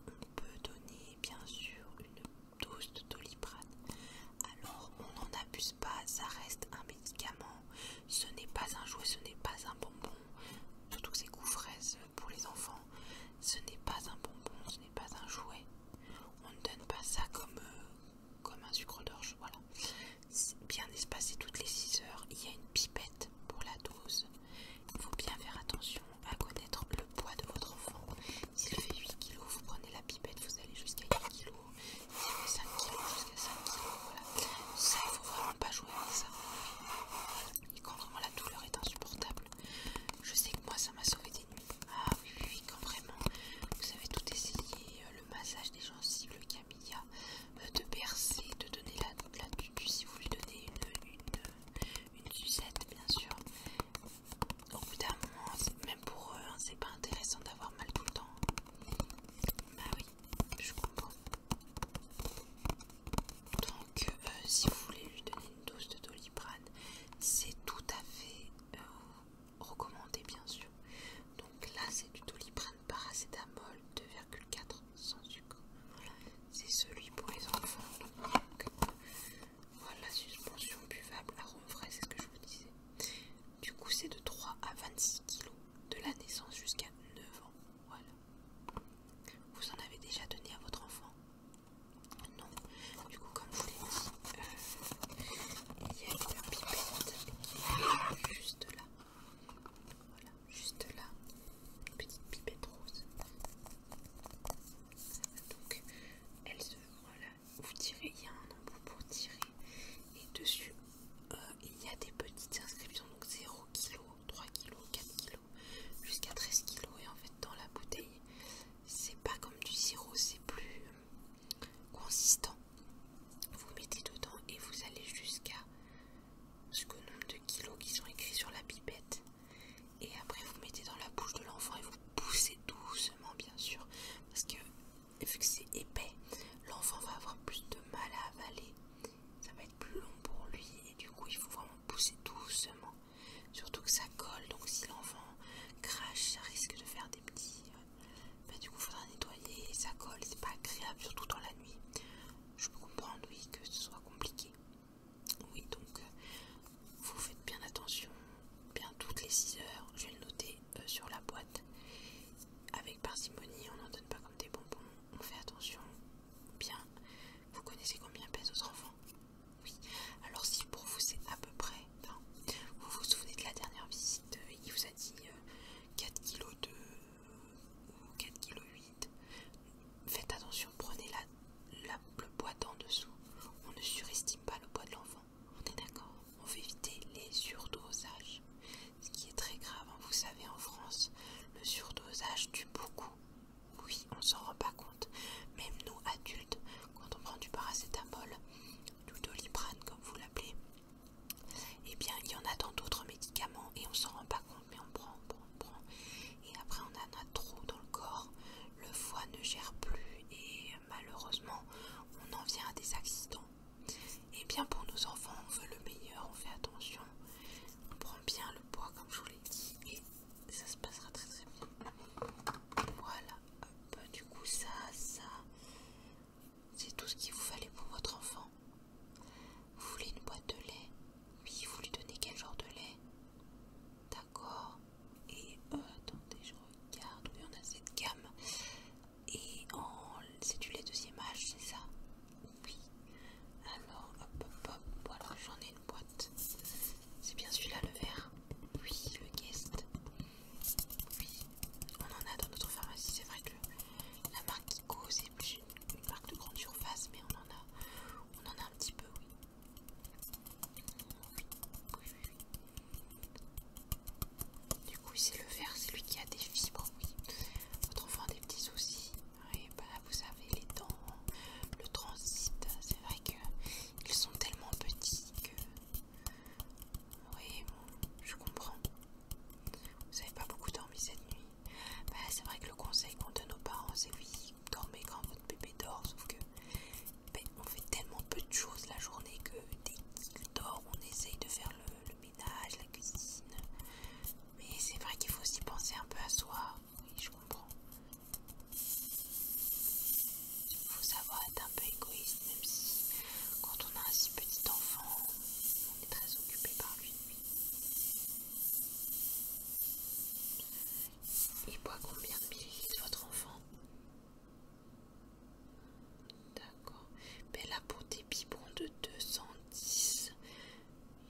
on peut donner bien sûr une dose de doliprane. Alors on n'en abuse pas, ça reste un médicament, ce n'est pas un jouet, ce n'est pas un bonbon, surtout que c'est couvre fraise pour les enfants, ce n'est pas un bonbon, ce n'est pas un jouet. On ne donne pas ça comme, euh, comme un sucre d'orge, voilà. Bien espacé toutes les 6 heures, il y a une pipette pour la dose. Il faut bien faire attention à connaître le poids de votre enfant. S'il fait 8 kg, vous prenez la pipette, vous allez jusqu'à 8 kg. S'il fait 5 kg, jusqu'à 5 kg, voilà. Ça, il faut vraiment pas jouer avec ça. Et quand vraiment la douleur est insupportable, je sais que moi, ça m'a sauvé des ah oui, oui, quand vraiment vous avez tout essayé, euh, le massage des gencives, le camilla, euh, de bercer, de donner la, la si vous lui donnez une, une, une sucette, bien sûr. Au bout d'un moment, même pour eux, c'est pas intéressant d'avoir mal tout le temps. Bah oui, je comprends. Donc, euh, si vous voulez lui donner une dose de doliprane, c'est tout à fait recommandé bien sûr. Donc là c'est du doliprane paracétamol 2,4 sans sucre. c'est celui pour les enfants. voilà, suspension buvable, arôme frais, c'est ce que je vous disais. Du coup c'est de 3 à 26 kg de la naissance jusqu'à 9 ans. Voilà. Vous en avez déjà donné à votre enfant Non comme je vous l'ai dit, euh, il y a une pipette juste là. Voilà, juste là. Une petite pipette rose. Donc, elle se. Voilà, vous tirez, il y a un embout pour tirer. Et dessus, euh, il y a des petites inscriptions. Donc, 0 kg, 3 kg, 4 kg, jusqu'à 13 kg. Et en fait, dans la bouteille, c'est pas comme du sirop, c'est plus consistant. Vous mettez dedans et vous allez jusqu'à ce le nombre de kilos qui sont écrits sur la pipette. Et après vous mettez dans la bouche de l'enfant et vous poussez doucement bien sûr. Parce que vu que c'est épais, l'enfant va avoir plus de mal à avaler. Ça va être plus long pour lui et du coup il faut vraiment pousser doucement. Surtout que ça colle, donc si l'enfant crache, ça risque de faire des petits euh, du coup il faudra nettoyer, ça colle, c'est pas agréable, surtout dans la nuit. Je peux comprendre, oui, que ce soit compliqué. Oui, donc euh, vous faites bien attention, bien toutes les 6 heures, je vais le noter euh, sur la boîte. Avec parcimonie, on n'en donne pas comme des bonbons, on fait attention. Bien, vous connaissez combien pèse votre enfant Oui, alors si pour vous c'est à peu près vous vous souvenez de la dernière visite, euh, il vous a dit 4 4,2 kg ou 4,8 kg. Faites attention, prenez la, le poids d'en dessous. On ne surestime pas le poids de l'enfant, on est d'accord On veut éviter les surdosages. Ce qui est très grave, hein. vous savez, en France, le surdosage tue beaucoup. Oui, on s'en rend pas compte. Même nous, adultes, quand on prend du paracétamol, du doliprane comme vous l'appelez, eh bien, il y en a dans d'autres médicaments et on s'en rend pas compte, mais on prend, on prend, on prend. Et après, on en a trop dans le corps. Le foie ne gère plus et euh, malheureusement, on en vient à des accidents. Et eh bien, pour nos enfants, on veut le meilleur, on fait attention. On prend bien le poids, comme je vous l'ai dit, et ça se passera très très bien. Voilà, Hop, du coup, ça, ça, c'est tout ce qu'il vous fallait pour votre enfant. Vous voulez une boîte de lait Oui, vous lui donnez quel genre de lait D'accord. Et euh, attendez, je regarde. Oui, on a cette gamme. Et c'est du lait deuxième âge, c'est ça Oui. Alors, hop, hop, Voilà, j'en ai une boîte. C'est bien celui-là, le verre Oui, le guest. Oui, on en a dans notre pharmacie. C'est vrai que la marque Kiko, c'est plus une, marque de grande surface, mais on en a, on en a un petit peu, oui. Oui, Du coup, c'est le vert, c'est lui qui a des fibres, oui. Votre enfant a des petits soucis. Oui, bah vous savez, les dents, le transit, c'est vrai qu'ils sont tellement petits que oui, je comprends. Vous n'avez pas beaucoup dormi cette nuit. Bah, c'est vrai que le conseil qu'on donne aux parents, c'est oui, dormez quand votre bébé dort, sauf que ben, on fait tellement peu de choses la journée que dès qu'il dort, on essaye de faire le ménage, la cuisine. Mais c'est vrai qu'il faut aussi penser un peu à soi. Oui, je comprends. Il faut savoir être un peu égoïste même si quand on a un si petit enfant, on est très occupé par lui. Il boit combien de millilitres votre enfant D'accord. Mais ben là pour des biberons de 210,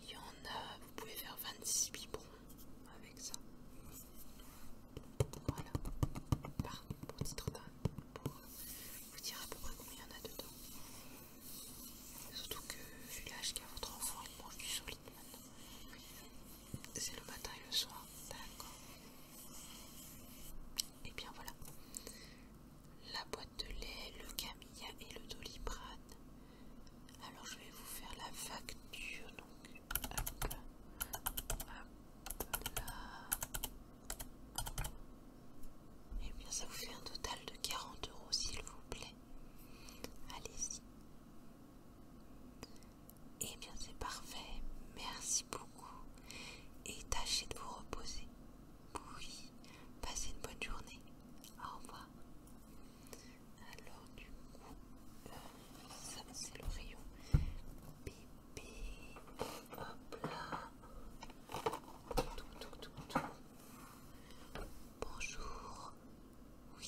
il y en a, vous pouvez faire 26 biberons avec ça. Voilà. Pardon, pour titre d'un vous dire à peu près combien il y en a dedans. Surtout que vu l'âge qu'a votre enfant, il mange du solide maintenant. C'est le matin et le soir, d'accord. Et eh bien voilà. La boîte de lait, le camilla et le doliprane. Alors je vais vous faire la facture donc. Hop, hop là. Et eh bien, ça vous fait un total de 40 euros, s'il vous plaît. Allez-y. Et eh bien, c'est parfait. Merci beaucoup. Et tâchez de vous reposer. Oui, passez une bonne journée. Au revoir. Alors, du coup, euh, ça c'est le rayon. Hop là. Bonjour. Oui.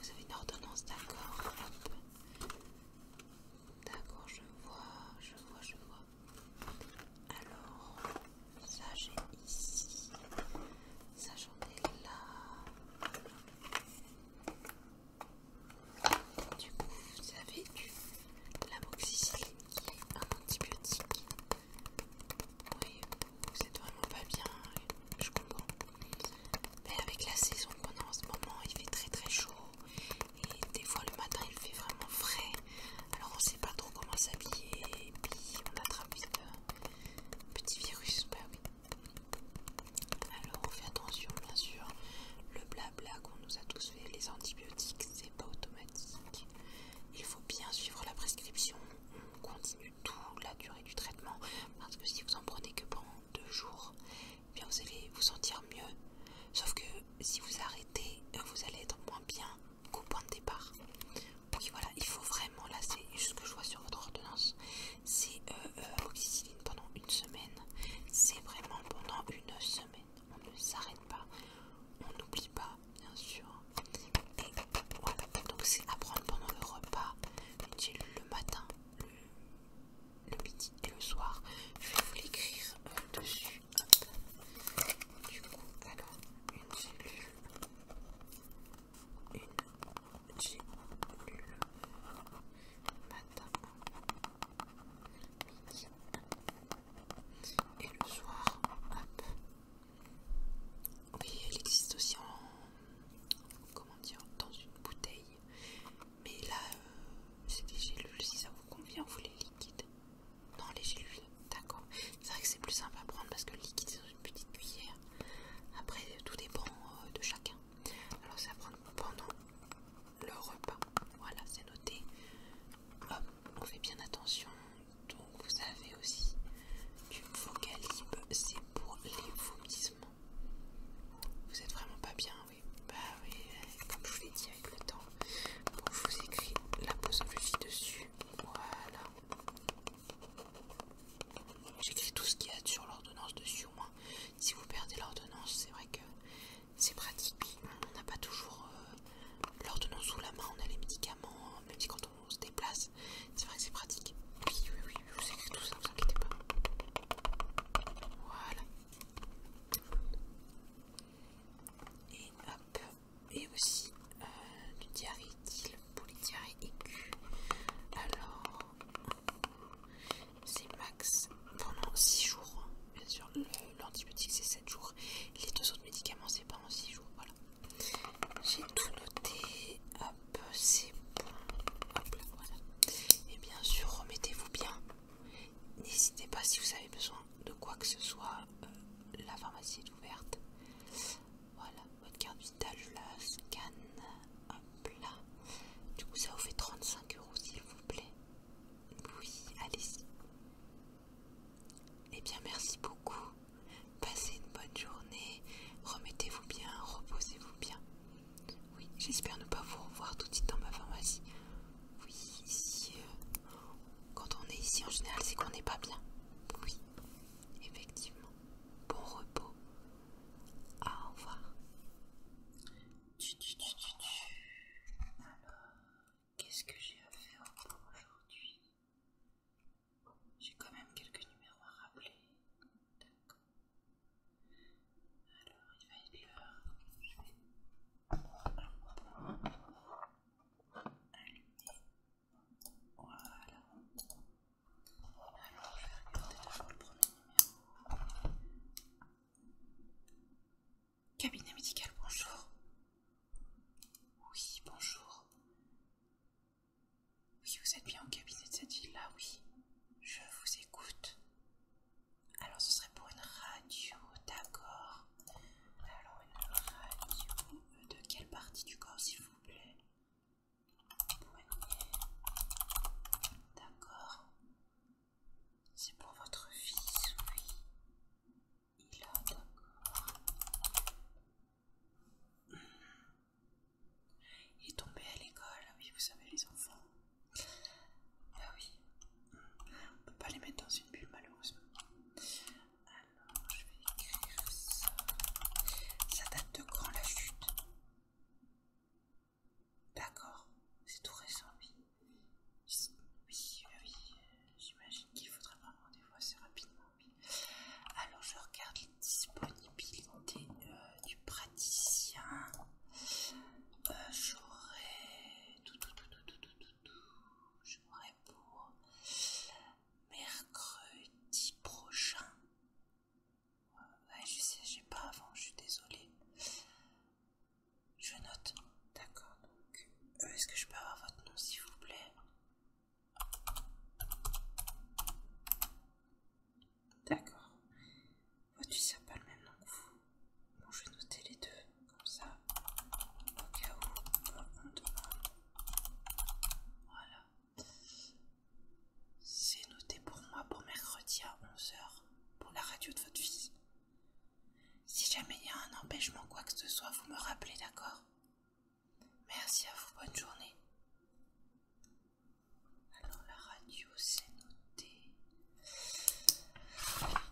Vous avez une ordonnance, d'accord. D'accord, je vois, je vois, je vois. Alors, ça j'ai ici. Ça j'en ai là. Du coup, vous avez du l'amoxicilline qui est un antibiotique. Oui, vous êtes vraiment pas bien, je comprends. Mais avec la saison qu'on a en ce moment, il fait très très chaud. Et des fois le matin, il fait vraiment frais. Alors on sait pas trop comment s'habiller. Et puis on attrape vite euh, petit virus. Bah Alors on fait attention, bien sûr. Le blabla qu'on nous a tous fait, les antibiotiques, pas automatique. Il faut bien suivre la prescription. On continue tout la durée du traitement parce que si vous en prenez que pendant deux jours, eh bien vous allez vous sentir mieux. Sauf que si vous arrêtez, euh, vous allez être moins bien qu'au point de départ. Donc voilà, il faut vraiment, là c'est juste ce que je vois sur votre ordonnance, c'est euh, euh, pendant une semaine. C'est vraiment pendant une semaine on ne s'arrête pas, on n'oublie pas bien sûr. donc c'est à prendre pendant le repas, une lu le matin, le, midi et le soir. Je vais vous l'écrire euh, dessus. Du coup, alors, une cellule, une cellule matin et le soir, hop. Oui, elle existe aussi en. Comment dire Dans une bouteille. Mais là, euh, c'est des gélules. Si ça vous convient, vous les liquides. Non, les gélules, d'accord. C'est vrai que c'est plus simple à prendre parce que le liquide, c'est dans une petite cuillère. Après, tout dépend euh, de chacun. Alors, ça prendre pendant le repas. Voilà, c'est noté. Hop, on fait bien attention. Donc vous avez aussi du vocalibre, c'est pour les vomissements. Vous êtes vraiment pas bien, oui. Bah oui, comme je vous l'ai dit avec le temps. je vous écris la posologie dessus. Voilà. J'écris tout ce qu'il y a sur l'ordonnance dessus au moins. Si vous perdez l'ordonnance, c'est vrai que c'est pratique. On n'a pas toujours euh, l'ordonnance sous la main, on a les médicaments, hein, même si quand on se déplace, c'est vrai que c'est pratique. Oui, oui, oui, vous écris tout ça, ne vous inquiétez pas. Voilà. Et hop, et aussi euh, du diarrhée d'île pour les diarrhées Alors, c'est max pendant 6 jours. Bien sûr, l'antibiotique c'est 7 jours. Les deux autres médicaments c'est pas en 6 jours. Voilà. J'ai tout noté. c'est bon. Et bien sûr, remettez-vous bien. N'hésitez pas si vous avez besoin de quoi que ce soit. Euh, la pharmacie est ouverte. Voilà, votre carte vitale, la scanne. Hop là. Du coup, ça vous fait 35 euros s'il vous plaît. Oui, allez-y. Eh bien, merci beaucoup. Passez une bonne journée. Remettez-vous bien, reposez-vous bien. Oui, j'espère ne pas vous revoir tout de suite dans ma pharmacie. Oui, ici, euh, quand on est ici en général, c'est qu'on n'est pas bien. Oui, effectivement. Bon repos. au revoir. Qu'est-ce que j'ai à faire aujourd'hui J'ai quand même quelques numéros à rappeler. D'accord. Alors, il va être l'heure. Je vais allumer. Voilà. Alors, je vais regarder d'abord le premier numéro. Cabinet médical, bonjour. Oui, bonjour. Oui, vous êtes bien au cabinet de cette ville-là, oui. Je vous écoute. Alors, ce serait pour une radio, d'accord. Alors, une radio de quelle partie du corps, s'il vous plaît D'accord. C'est pour votre fils, oui a, d'accord. Il est tombé à l'école, ah oui, vous savez, les enfants. ah oui. On peut pas les mettre dans une bulle, malheureusement. Alors, je vais écrire ça. Ça date de quand la chute D'accord, c'est tout récent, oui. Oui, oui, j'imagine qu'il faudra prendre rendez-vous assez rapidement. Alors, je regarde les disponibilités euh, du praticien. Euh, J'aurai pour mercredi prochain. Euh, je sais, j'ai pas avant, je suis désolée. Je note. D'accord. Donc, euh, est-ce que je peux avoir votre nom, s'il vous plaît D'accord. votre tu ça pas le même nom que vous. Bon, je vais noter les deux, comme ça, au cas où on demande. Voilà. C'est noté pour moi pour mercredi à 11h pour la radio de votre fils. Si jamais il y a un empêchement, quoi que ce soit, vous me rappelez, d'accord Merci à vous, bonne journée. Alors la radio, c'est noté.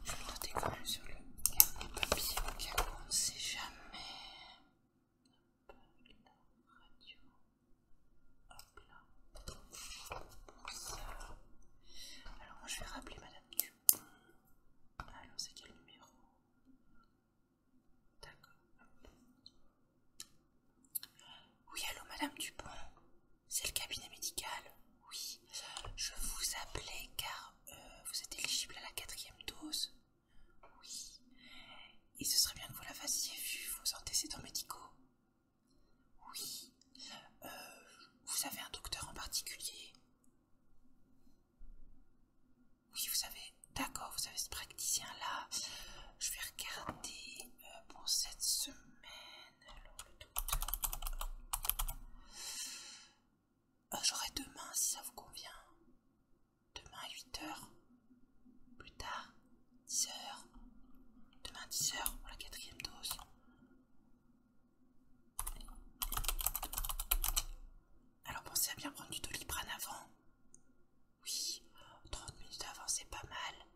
Je vais noter je suis sur le carnet papier on ne sait jamais. la radio. Hop là. Alors moi je vais rappeler Madame Dupont. Ah, alors, c'est quel numéro D'accord. Oui, allô, Madame Dupont. C'est le cabinet médical. Oui. Je vous appelais car euh, vous êtes éligible à la quatrième dose. Oui. Et ce serait bien que vous la fassiez vu vos antécédents médicaux. Oui. Euh, vous avez un docteur en particulier oui, vous savez, d'accord, vous avez ce praticien-là. Je vais regarder euh, pour cette semaine. Ah, j'aurai demain si ça vous convient. Demain à 8h. Plus tard, 10h. Demain 10h pour la quatrième dose. Alors pensez à bien prendre du doliprane avant. Oui, 30 minutes avant c'est pas mal.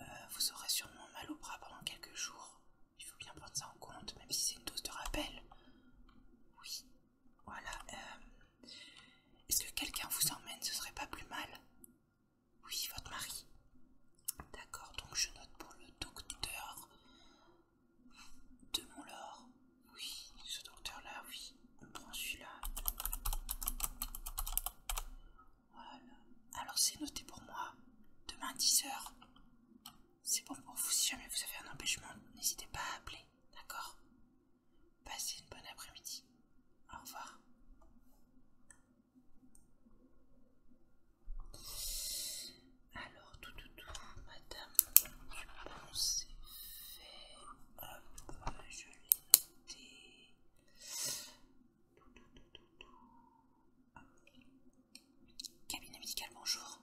Euh, vous aurez sûrement mal au bras pendant quelques jours. Il faut bien prendre ça en compte, même si c'est une dose de rappel. Oui, voilà. Euh, est-ce que quelqu'un vous emmène Ce serait pas plus mal Oui, votre mari. D'accord, donc je note pour le docteur de mon Oui, ce docteur-là, oui. On prend celui-là. Voilà. Alors c'est noté pour moi. Demain 10h. C'est bon pour vous. Si jamais vous avez un empêchement, n'hésitez pas à appeler. D'accord Passez une bonne après-midi. Au revoir. Alors, tout, tout, tout, madame, je pense c'est fait. Hop, je l'ai noté. Tout, tout, tout, tout, tout. Cabine Cabinet médical, bonjour.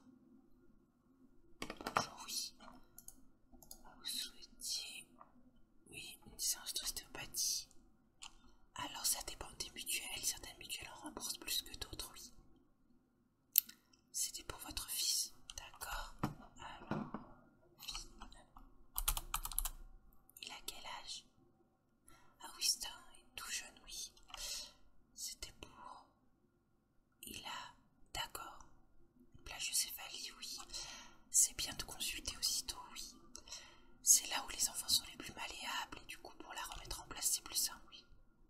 Bonjour, oui. Vous souhaitiez. Oui, une séance d'ostéopathie. Alors, ça dépend des mutuelles. Certaines mutuelles en remboursent plus que d'autres, oui. C'était pour votre fils, d'accord euh, il a quel âge Ah Winston est tout jeune, oui. C'était pour... Il a... D'accord. Plagiocéphalie, oui. C'est bien de consulter aussitôt, oui. C'est là où les enfants sont les plus malléables et du coup pour la remettre en place c'est plus simple, oui.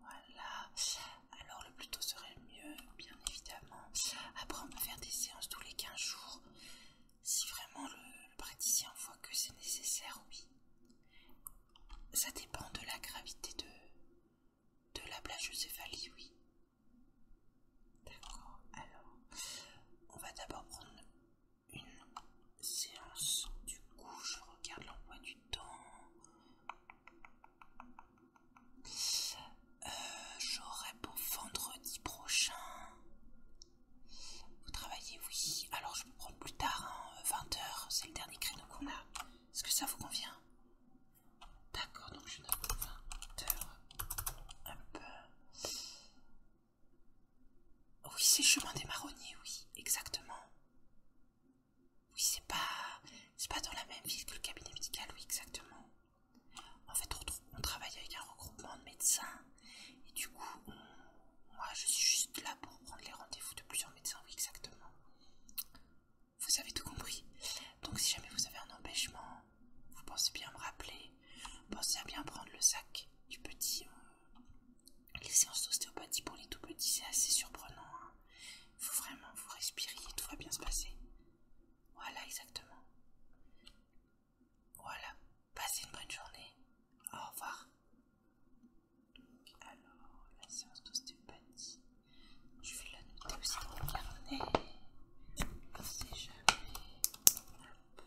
Voilà. Alors le plus tôt serait le mieux, bien évidemment. Après on peut faire des séances tous les 15 jours. Si vraiment le, praticien voit que c'est nécessaire, oui. Ça dépend de la gravité de, de la eucéphalie, oui. D'accord. Alors, on va d'abord prendre une séance. Du coup, je regarde l'emploi du temps. Euh, j'aurai pour vendredi prochain. Vous travaillez, oui. Alors je vous prends plus tard, 20h, hein. euh, c'est le dernier créneau qu'on a. Est-ce que ça vous convient D'accord, donc je donne 20h. peu, Oui, c'est chemin des marronniers, oui, exactement. Oui, c'est pas... C'est pas dans la même ville que le cabinet médical, oui, exactement. En fait, on, travaille avec un regroupement de médecins. Et du coup, moi, je suis juste là pour prendre les rendez-vous de plusieurs médecins, oui, exactement. Vous avez tout compris. Donc, si jamais vous avez un empêchement, vous pensez bien me rappeler. Pensez à bien prendre le sac du petit. Euh, les séances d'ostéopathie pour les tout petits, c'est assez surprenant. Hein. Il faut vraiment vous respiriez, tout va bien se passer. Voilà exactement. Voilà. Passez une bonne journée. Au revoir. Donc, alors, la séance d'ostéopathie. Je vais la noter aussi dans le carnet. On jamais. Hop.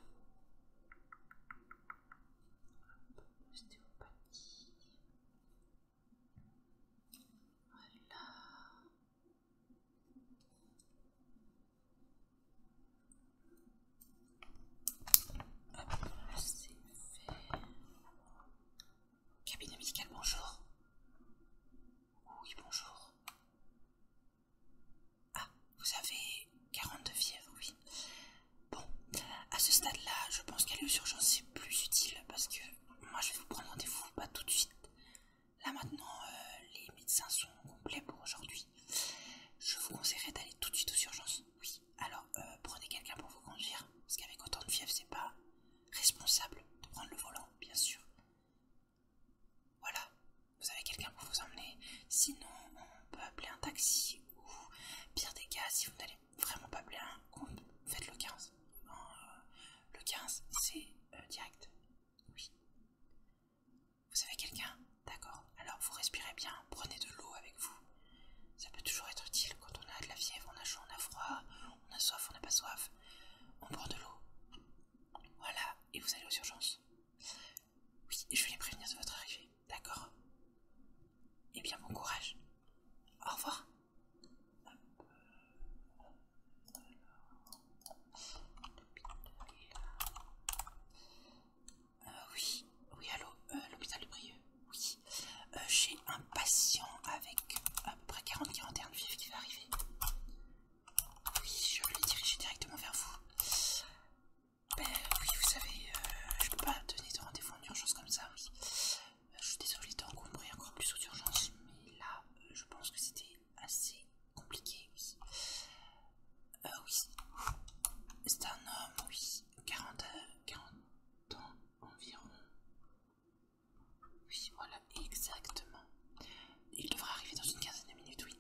Hop. Ostéopathie. Voilà. Hop, c'est fait. Cabinet médical, bonjour. Oui, bonjour. Ah, vous avez 42 fièvres, oui. Bon, à ce stade-là, je pense qu'à l'urgence, c'est plus utile parce que moi je vais vous prendre rendez-vous pas tout de suite. Là maintenant, euh, les médecins sont complets pour aujourd'hui. Je vous conseillerais d'aller tout de suite aux urgences. Oui, alors euh, prenez quelqu'un pour vous conduire, parce qu'avec autant de fièvre, c'est pas responsable de prendre le volant, bien sûr. Voilà, vous avez quelqu'un pour vous emmener. Sinon, on peut appeler un taxi ou pire des cas si vous n'allez vraiment pas bien, faites le 15. Euh, le 15, c'est euh, direct. Oui. Vous avez quelqu'un D'accord. Alors vous respirez bien, prenez de l'eau avec vous. Ça peut toujours être utile quand on a de la fièvre, on a chaud, on a froid, on a soif, on n'a pas soif. On boit de l'eau. Voilà, et vous allez aux urgences. Oui, je vais les prévenir de votre arrivée. D'accord Eh bien, bon courage. Au revoir. Euh, oui, oui, allô, euh, l'hôpital de Brieux, oui. Euh, j'ai un patient avec à peu près 40-41 vives qui va arriver. Oui, je vais le diriger directement vers vous. Ben oui, vous savez, je peux pas donner de rendez-vous en urgence comme ça, oui. Euh, je suis désolée d'encombrer encore plus aux urgences, mais là, euh, je pense que c'était assez compliqué, oui. Euh, C'est un homme, oui. 40, ans environ. Oui, voilà, exactement. Il devrait arriver dans une quinzaine de minutes, oui.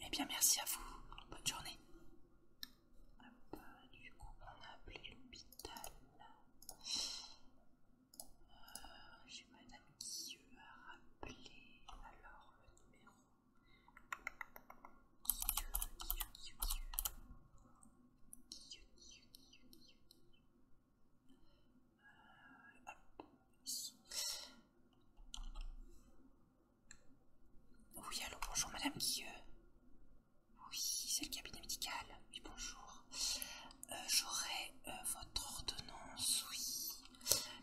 Eh bien, merci à vous. Bonne journée. Hop, ah bah, du coup, on a appelé l'hôpital. Euh, j'ai madame Guilleux à rappeler. Alors, le numéro. Guilleux, Guilleux, Guilleux, Guilleux. Guilleux, Guilleux, Guilleux, Guilleux. Euh, hop, ici. Oui, allô, bonjour madame Guilleux. Oui, c'est le cabinet médical. Oui, bonjour. Euh, j'aurai euh, votre ordonnance, oui.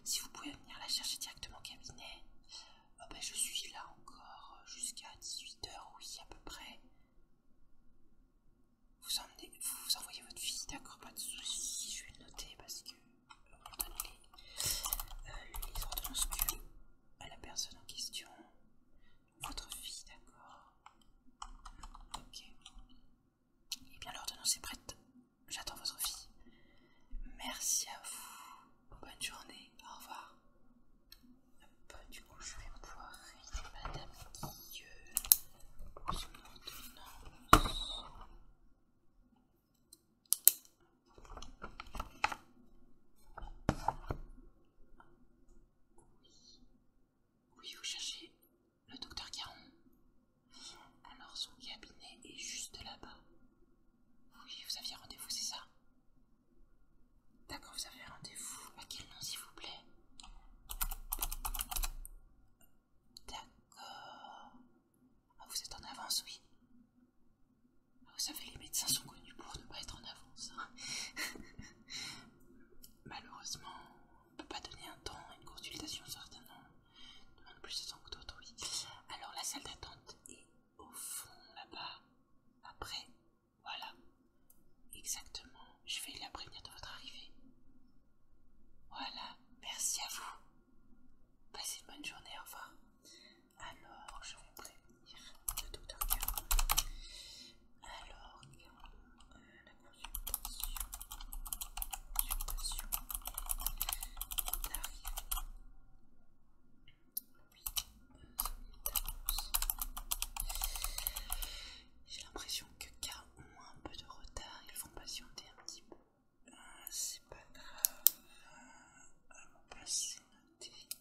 Si vous pouvez venir la chercher directement au cabinet. Ah ben, je suis là encore euh, jusqu'à 18h, oui, à peu près. Vous, emmenez, vous, envoyez votre fille, d'accord, pas de soucis, je vais le noter parce que les, ordonnances à la personne en question. Votre fille, d'accord. Ok. Eh bien, l'ordonnance est prête. J'attends votre fille. Merci à vous. Bonne journée. Au revoir. du coup, je vais pouvoir Madame Guille. Oui. Oui, vous cherchez le docteur Caron. Alors son cabinet est juste là-bas. Oui, vous aviez rendez-vous, c'est ça D'accord, vous avez rendez-vous. À quel nom, s'il vous plaît D'accord. Ah, vous êtes en avance, oui. Ah, vous savez, les médecins sont connus pour ne pas être en avance. Hein. [laughs] Malheureusement, on ne peut pas donner un temps une consultation, on demande plus de temps que d'autres, oui. Alors la salle d'attente est au fond là-bas. Après, voilà. Exactement. Je vais la prévenir de votre arrivée. Voilà. Merci à vous. Passez une bonne journée. Au revoir. Alors, je vais prévenir le docteur alors, la consultation, consultation est arrivée. J'ai l'impression que K moins un peu de retard, ils vont patienter un petit peu. Euh, c'est pas grave. Euh, on va passer quest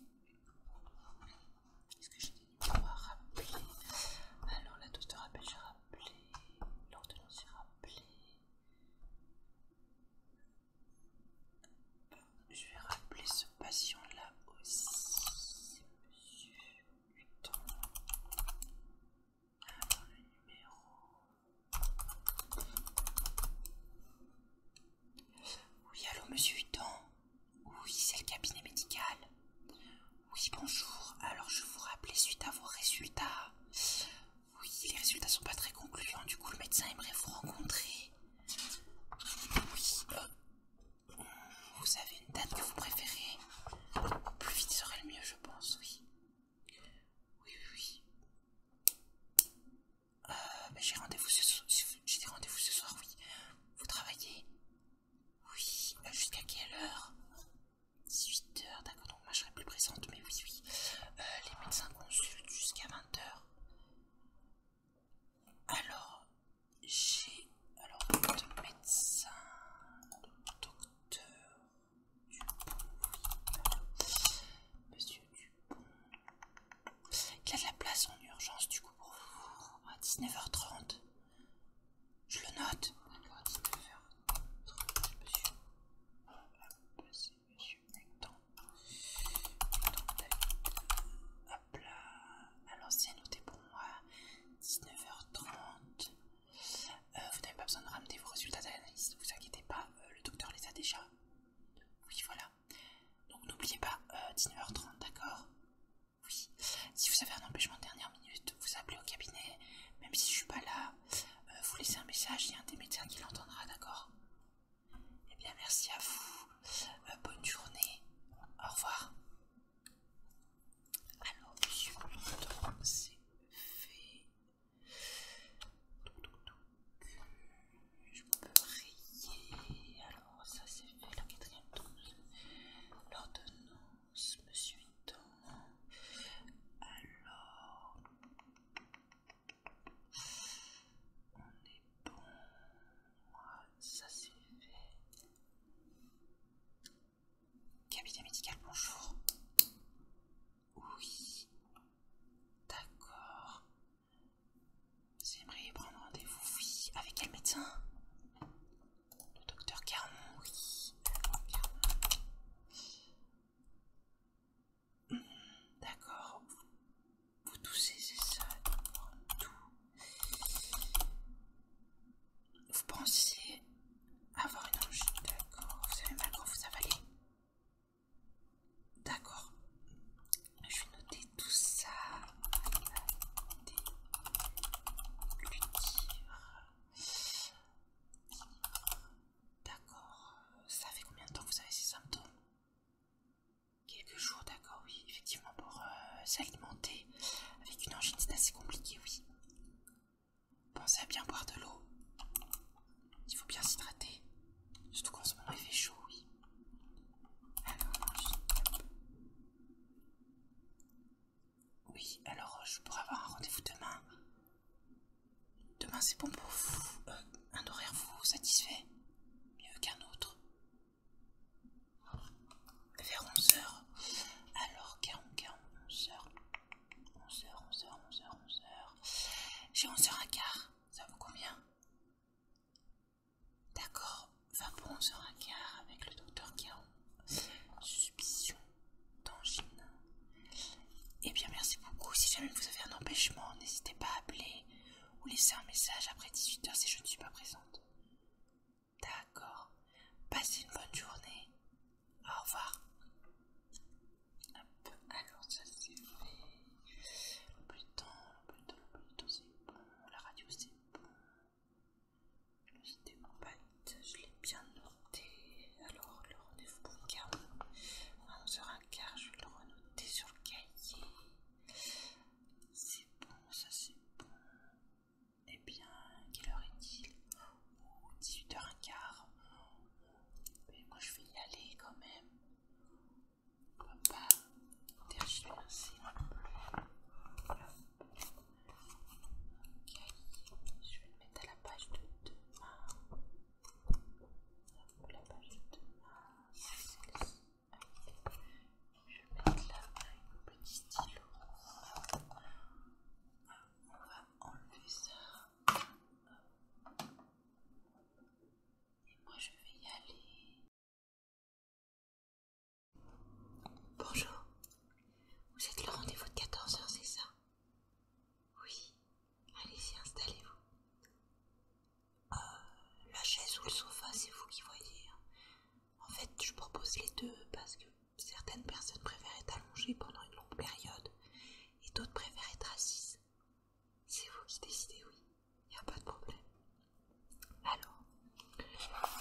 ce que j'ai on va rappeler. Alors, la dose de rappel, j'ai rappelé. L'ordonnance, est rappelée Je vais rappeler ce patient-là aussi. Monsieur Hutton. Alors, le numéro. Oui, allô, monsieur Hutton. Oui, c'est le cabinet médical. Oui, bonjour. Alors, je vous rappelais suite à vos résultats. Oui, les résultats sont pas très concluants. Du coup, le médecin aimerait vous rencontrer. Oui, euh, vous avez une date que vous préférez Plus vite serait le mieux, je pense, oui. Oui, oui, Euh, ben, j'ai rendez-vous ce rendez-vous ce soir, oui. Vous travaillez Oui, euh, jusqu'à quelle heure 18h, d'accord, donc moi je serai plus présente, mais oui, oui. Euh, les médecins consultent jusqu'à 20h. Alors, j'ai. Alors, le médecin. docteur Monsieur Dupont. Il a de la place en urgence, du coup, pour à 19h30. Je le note. D'accord, 19h. monsieur. c'est monsieur pour moi. 19h30. Euh, vous n'avez pas besoin de ramener vos résultats d'analyse, ne vous inquiétez pas, euh, le docteur les a déjà. Oui, voilà. Donc n'oubliez pas, 19h30, euh, d'accord oui. Si vous avez un empêchement de dernière minute, vous appelez au cabinet. Même si je suis pas là, euh, vous laissez un message, il y a un des médecins qui l'entendra, d'accord Eh bien, merci à vous. Euh, bonne journée. Au revoir. Alors, sur c'est fait. Je peux rire. Alors, ça c'est fait. La quatrième dose. L'ordonnance monsieur Hinton. Alors, on est bon. Ça c'est fait. Cabinet médical, bonjour. Oui. D'accord. Vous aimeriez prendre rendez-vous, oui. Avec quel médecin le docteur Carmon, oui. D'accord. Vous, toussez, c'est ça. Tout. Vous pensez avoir une angine. D'accord. Vous savez mal quand vous avalez. D'accord. Je vais noter tout ça. D'accord. Ça fait combien de temps que vous avez ces symptômes Quelques jours, d'accord, oui. Effectivement, pour euh, s'alimenter avec une angine, c'est assez compliqué, oui. Pensez à bien boire de l'eau. Il faut bien s'hydrater. Surtout quand ce moment, il fait chaud, oui. Alors, oui, alors euh, je pourrais avoir un rendez-vous demain. Demain c'est bon pour euh, un horaire vous satisfait Mieux qu'un autre. Vers 11h. Alors, 11h, 11h, 11h, 11h, 11h, 11h. J'ai 11h15, ça vous combien D'accord, va pour 11h15 avec le docteur Guéant. Suspicion Tangine. Et eh bien merci beaucoup. Si jamais vous avez un empêchement, n'hésitez pas à appeler ou laisser un message après 18h si je ne suis pas présente. D'accord. Passez une bonne journée. Au revoir. alors ça c'est Le le La radio c'est c'était mon panique, je l'ai bien noté. Alors, le rendez-vous pour à 11h15, je vais le renoter sur le cahier. C'est bon, ça c'est bon. Eh bien, quelle heure est-il 18h15. Mais moi je vais y aller quand même. On va pas laisser non plus. Ok, je vais le mettre à la page de demain. La page de demain, c'est celle-ci. Je vais mettre là un petit stylo. On va enlever ça. Et moi je vais y aller. Bonjour, vous êtes le rendez-vous de 14h, c'est ça oui, allez-y, installez-vous. Euh, la chaise ou le sofa, c'est vous qui voyez. Hein. En fait, je propose les deux parce que certaines personnes préfèrent être allongées pendant une longue période et d'autres préfèrent être assises. C'est vous qui décidez, oui, il n'y a pas de problème. Alors,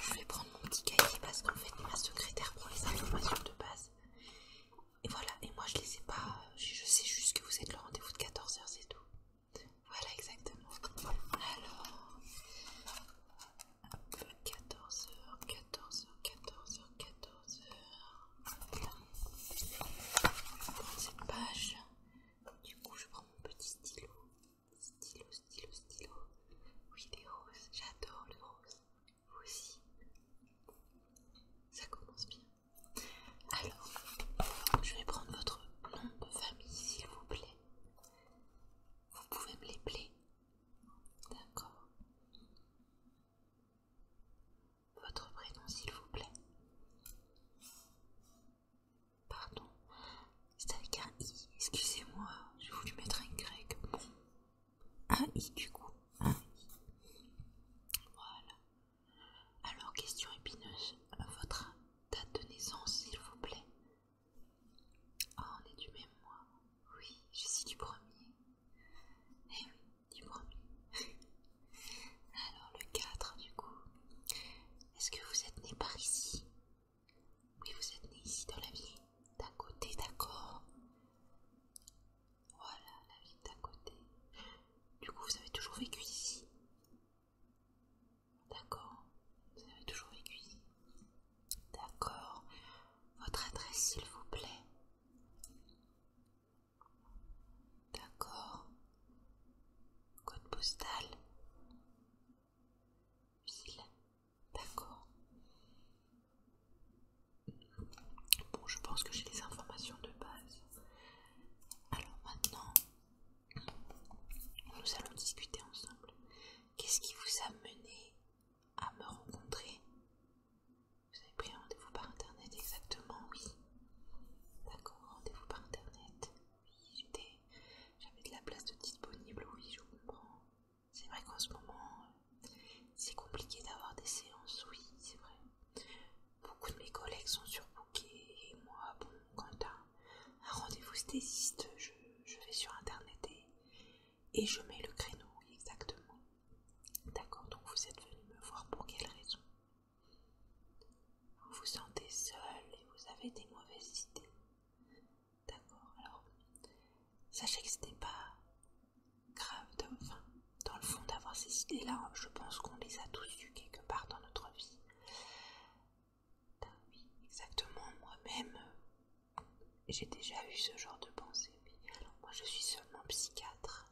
je vais prendre mon petit cahier parce qu'en fait, ma secrétaire prend les informations de base. Et voilà, et moi je les ai pas, je sais juste que vous êtes le rendez-vous de 14h, c'est tout. Voilà exactement. Alors, 14h, 14h, 14h, 14h. cette page. Du coup, je prends mon petit stylo. Stylo, stylo, stylo. Oui, les roses, j'adore les roses aussi. Ça commence bien. Alors, je vais prendre votre nom de famille, s'il vous plaît. Vous pouvez me les plaît, D'accord. Votre prénom, s'il vous plaît. Pardon, c'est avec un i, excusez-moi, j'ai voulu mettre un grec. Bon, un i du coup. Un i. Voilà. Alors, question épineuse. Votre date de naissance, s'il vous plaît. Ah, on est du même mois. Oui, je suis du premier. Eh oui, du premier. [laughs] Alors, le 4 du coup. Est-ce que vous êtes né par ici Oui, vous êtes né ici dans la ville. d'un côté, d'accord. Voilà, la ville d'à côté. Du coup, vous avez toujours vécu ici D'accord. Vous avez toujours vécu ici D'accord. Votre adresse, s'il vous plaît. D'accord. Code postal. Ville. D'accord. Bon, je pense que j'ai les informations de base. Alors maintenant, nous allons discuter ensemble. Qu'est-ce qui vous a mené à me rencontrer Vous avez pris rendez-vous par internet exactement, oui. D'accord, rendez-vous par internet. Oui, j'avais de la place de disponible, oui, je comprends. C'est vrai qu'en ce moment, euh, c'est compliqué d'avoir des séances, oui, c'est vrai. Beaucoup de mes collègues sont sur surbookés et moi, bon, quand un, rendez-vous stésiste, je, je vais sur internet et, je mets le créneau, exactement. D'accord, donc vous êtes venu me voir pour quelle raison Vous vous sentez seul et vous avez des mauvaises idées. D'accord, alors sachez que ce n'est pas Grave enfin, dans le fond d'avoir ces idées-là, je pense qu'on les a tous eues quelque part dans notre vie. Ben oui, exactement, moi-même, j'ai déjà eu ce genre de pensée. Mais moi, je suis seulement psychiatre.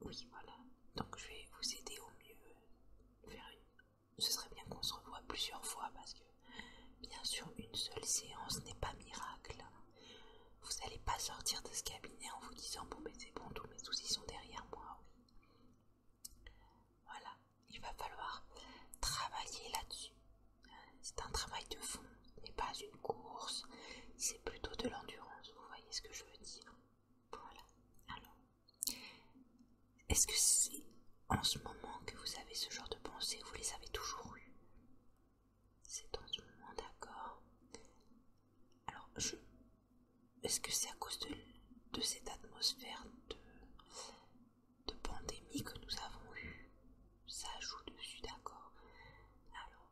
Oui, voilà. Donc, je vais vous aider au mieux. Ce serait bien qu'on se revoie plusieurs fois parce que, bien sûr, une seule séance n'est pas miracle. Vous n'allez pas sortir de ce cabinet en vous disant bon mais c'est bon, tous mes soucis sont derrière moi, oui. Voilà, il va falloir travailler là-dessus. C'est un travail de fond, ce n'est pas une course, c'est plutôt de l'endurance, vous voyez ce que je veux dire. Voilà. Alors, est-ce que c'est en ce moment que vous avez ce genre de pensée, vous les avez toujours eues c'est dans ce moment, d'accord. Alors, je. Est-ce que c'est à cause de, cette atmosphère de, de pandémie que nous avons eu Ça joue dessus, d'accord. Alors,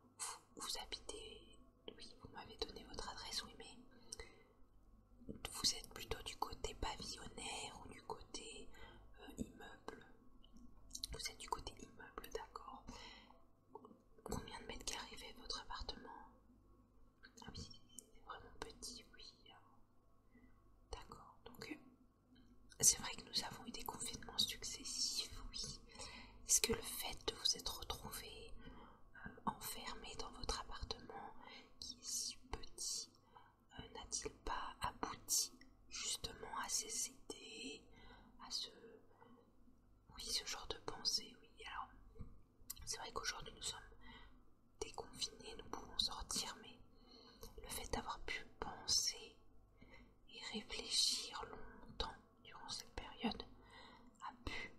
vous, habitez. Oui, vous m'avez donné votre adresse, oui, mais. Vous êtes plutôt du côté pavillonnaire ou du côté euh, immeuble vous êtes du côté immeuble, d'accord Combien de mètres carrés votre appartement Ah oui, c'est vraiment petit, oui. Hein. D'accord, donc euh, c'est vrai que nous avons eu des confinements successifs, oui. Est-ce que le fait de vous être retrouvé euh, enfermé dans votre appartement qui est si petit euh, n'a-t-il pas abouti justement à ces idées, à ce... Oui, ce genre de pensée, oui. Alors, c'est vrai qu'aujourd'hui nous sommes déconfinés, nous pouvons sortir, mais le fait d'avoir pu penser et réfléchir longtemps durant cette période a pu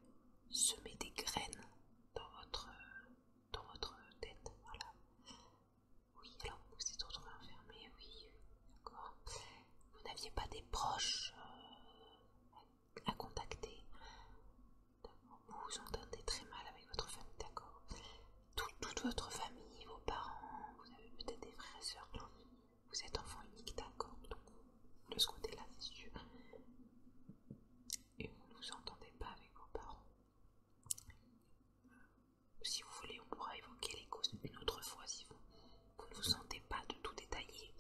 semer des graines dans votre, dans votre tête. Oui, alors vous êtes retrouvés enfermés, oui, d'accord. Vous n'aviez pas des proches euh, à, contacter. Vous vous entendez très mal avec votre famille, d'accord. toute votre famille, vos parents, vous avez peut-être des frères et sœurs. Vous êtes enfant unique, d'accord. Donc de ce côté-là, c'est sûr. Et vous ne vous entendez pas avec vos parents. Si vous voulez, on pourra évoquer les causes une autre fois si vous, ne vous sentez pas de tout détailler.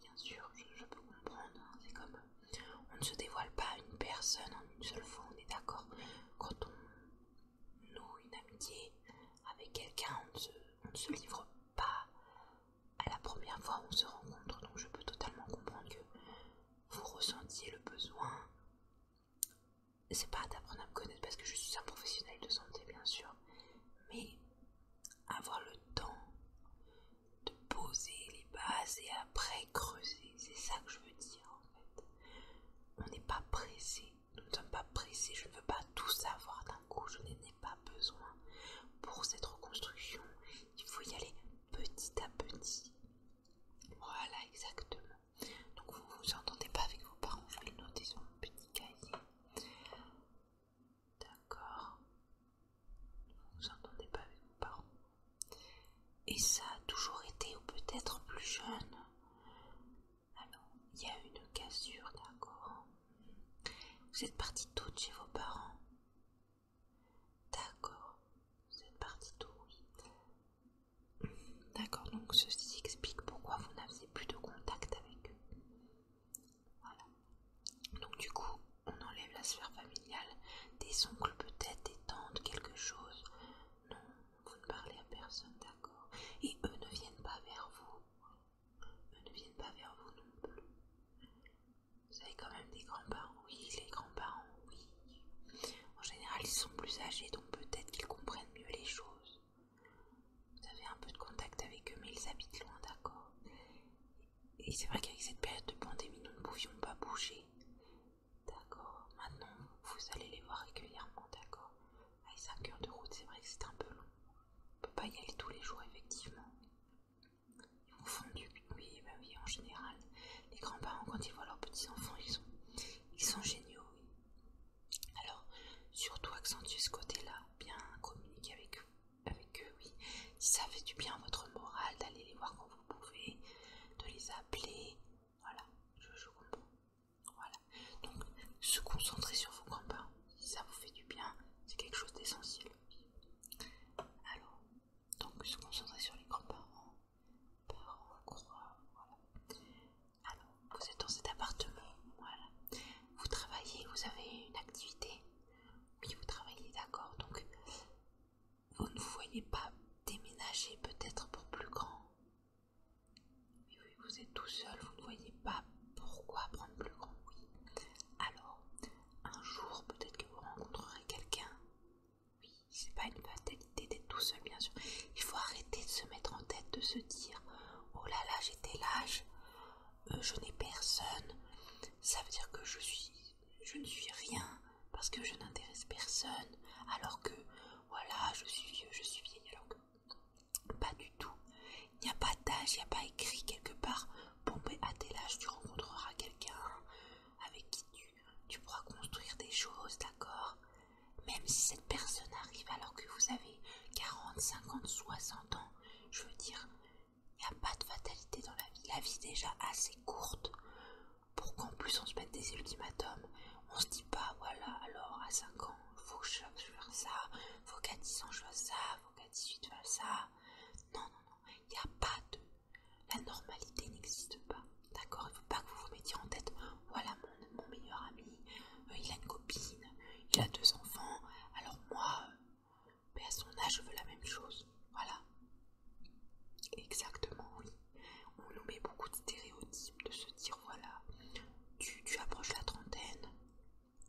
Bien sûr, je, peux comprendre, hein, c'est comme on ne se dévoile pas à une personne en une seule fois, on est d'accord. Quand on noue une amitié avec quelqu'un, on ne se livre pas à la première fois où on se rencontre, donc je peux totalement comprendre que vous ressentiez le besoin c'est pas d'apprendre à me connaître parce que je suis un professionnel de santé, bien sûr, mais avoir le temps de poser les bases et après creuser, c'est ça que je veux dire en fait. On n'est pas pressé, nous ne sommes pas pressés, je ne veux pas tout savoir d'un coup, je n'en ai pas besoin. Pour cette reconstruction, il faut y aller petit à petit. Voilà, exactement. Donc vous ne vous entendez pas avec vos parents, vous les notez sur un petit cahier. D'accord. Vous vous entendez pas avec vos parents. Et ça a toujours été, ou peut-être plus jeune. Alors, il y a une cassure, d'accord. Vous êtes partie toute chez vos parents. D'accord. Vous êtes partie tout, oui. D'accord, donc ceci explique pourquoi vous n'avez plus de contact avec eux. Voilà. Donc du coup, on enlève la sphère familiale, des oncles peut-être, des tantes, quelque chose. Non, vous ne parlez à personne, d'accord. Et eux ne viennent pas vers vous. Eux ne viennent pas vers vous non plus. Vous avez quand même des grands-parents, oui, les grands-parents, oui. En général, ils sont plus âgés, donc peut-être qu'ils comprennent mieux les choses. Vous avez un peu de contact avec eux, mais ils habitent loin, d'accord Et c'est vrai qu'avec cette période de pandémie, nous ne pouvions pas bouger. D'accord Maintenant, vous allez les voir régulièrement, d'accord À 5 heures de route, c'est vrai que c'est un peu long. On peut pas y aller tous les jours, effectivement. Ils vont fondu, oui, bah oui, en général. Les grands-parents, quand ils voient leurs petits-enfants, ils sont, ils sont géniaux, alors, surtout accentuer ce côté-là, bien communiquer avec eux, avec eux, oui. Si ça fait du bien à votre morale d'aller les voir quand vous pouvez, de les appeler, voilà, je, comprends. Voilà. Donc, se concentrer sur vos grands-parents, si ça vous fait du bien, c'est quelque chose d'essentiel. Alors, donc se concentrer sur les grands-parents, parents, voilà. Alors, vous êtes dans cet appartement, voilà. Vous travaillez, vous avez une activité. Oui, vous travaillez, d'accord. Donc, vous ne voyez pas déménager peut-être pour plus grand. Oui, oui, vous êtes tout seul, vous ne voyez pas pourquoi prendre plus grand. Oui. Alors, un jour, peut-être que vous rencontrerez quelqu'un. Oui, c'est pas une fatalité d'être tout seul, bien sûr. Il faut arrêter de se mettre en tête, de se dire oh là là, j'étais lâche, âge, euh, je n'ai personne, ça veut dire que je suis, je ne suis rien parce que je n'intéresse personne, alors que voilà, je suis vieux, je suis vieille, alors pas du tout. Il n'y a pas d'âge, il n'y a pas écrit quelque part. Bon, ben à tel âge, tu rencontreras quelqu'un avec qui tu, tu pourras construire des choses, d'accord Même si cette personne arrive alors que vous avez 40, 50, 60 ans, je veux dire, il n'y a pas de fatalité dans la vie. La vie est déjà assez courte pour qu'en plus on se mette des ultimatums. On se dit pas, bah voilà, alors à 5 ans, faut que je fasse ça, faut qu'à 10 ans je fasse ça, faut qu'à 18 je fasse ça. Non, non, non, il n'y a pas de. La normalité n'existe pas. D'accord Il ne faut pas que vous vous mettiez en tête, voilà mon meilleur ami, euh, il a une copine, il a deux enfants, alors moi, euh, à son âge, je veux la même chose. Voilà. Exactement, oui. On nous met beaucoup de stéréotypes de se dire voilà, tu, tu approches la trentaine,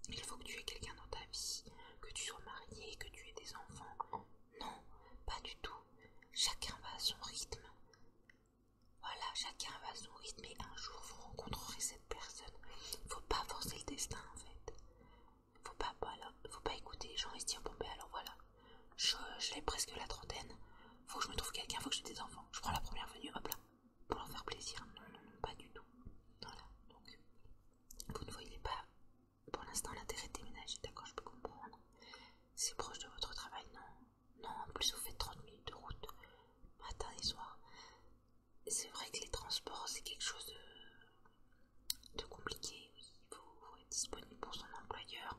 il faut que tu aies quelqu'un dans ta vie, que tu sois marié, que tu aies des enfants. Non, pas du tout. Chacun va à son rythme. Voilà, chacun va à son rythme et un jour vous rencontrerez cette personne. Faut pas forcer le destin en fait. Faut pas, faut pas écouter j'en gens et ben, alors voilà, je l'ai presque la trentaine, faut que je me trouve quelqu'un, faut que j'ai des enfants. Je prends la première venue, hop là, pour leur faire plaisir. Non, non, pas du tout. Voilà, donc vous ne voyez pas pour l'instant l'intérêt de déménager, d'accord, je peux comprendre. C'est proche de votre travail, non. Non, en plus vous faites 30 minutes de route, matin et soir c'est vrai que les transports, c'est quelque chose de, compliqué. Oui, il faut, être disponible pour son employeur.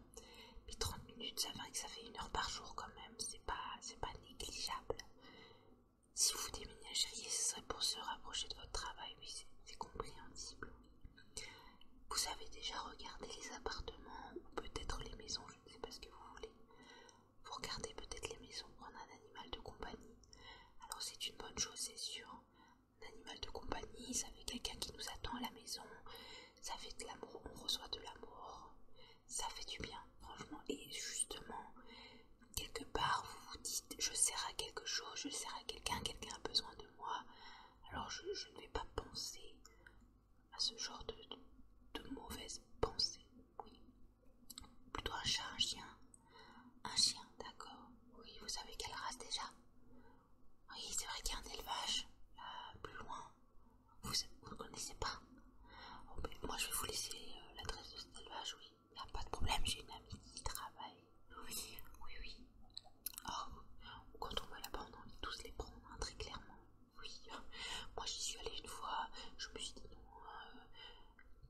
Mais 30 minutes, ça fait, que ça fait une heure par jour quand même. C'est pas, pas négligeable. Si vous déménageriez, ce serait pour se rapprocher de votre travail. Oui, c'est compréhensible. Vous avez déjà regardé les appartements peut-être les maisons, je ne sais pas ce que vous voulez. Vous regardez peut-être les maisons en un animal de compagnie. Alors c'est une bonne chose, c'est sûr. Un animal de compagnie, ça fait quelqu'un qui nous attend à la maison. Ça fait de l'amour, on reçoit de l'amour. Ça fait du bien, franchement. Et justement, quelque part, vous vous dites, je sers à quelque chose, je sers à quelqu'un, quelqu'un a besoin de moi. Alors je, ne vais pas penser à ce genre de, mauvaise pensée Oui, Plutôt un chat, un chien. Un chien, d'accord. Oui, vous savez quelle race déjà Oui, c'est vrai qu'il y a un élevage, plus loin. Vous ne connaissez pas oh, Moi, je vais vous laisser euh, l'adresse de cet élevage, oui. Il a pas de problème, j'ai une amie qui travaille. Oui, oui, oui. quand on va là-bas, on a tous les prendre, hein, très clairement. Oui, [laughs] moi j'y suis allée une fois, je me suis dit non, euh,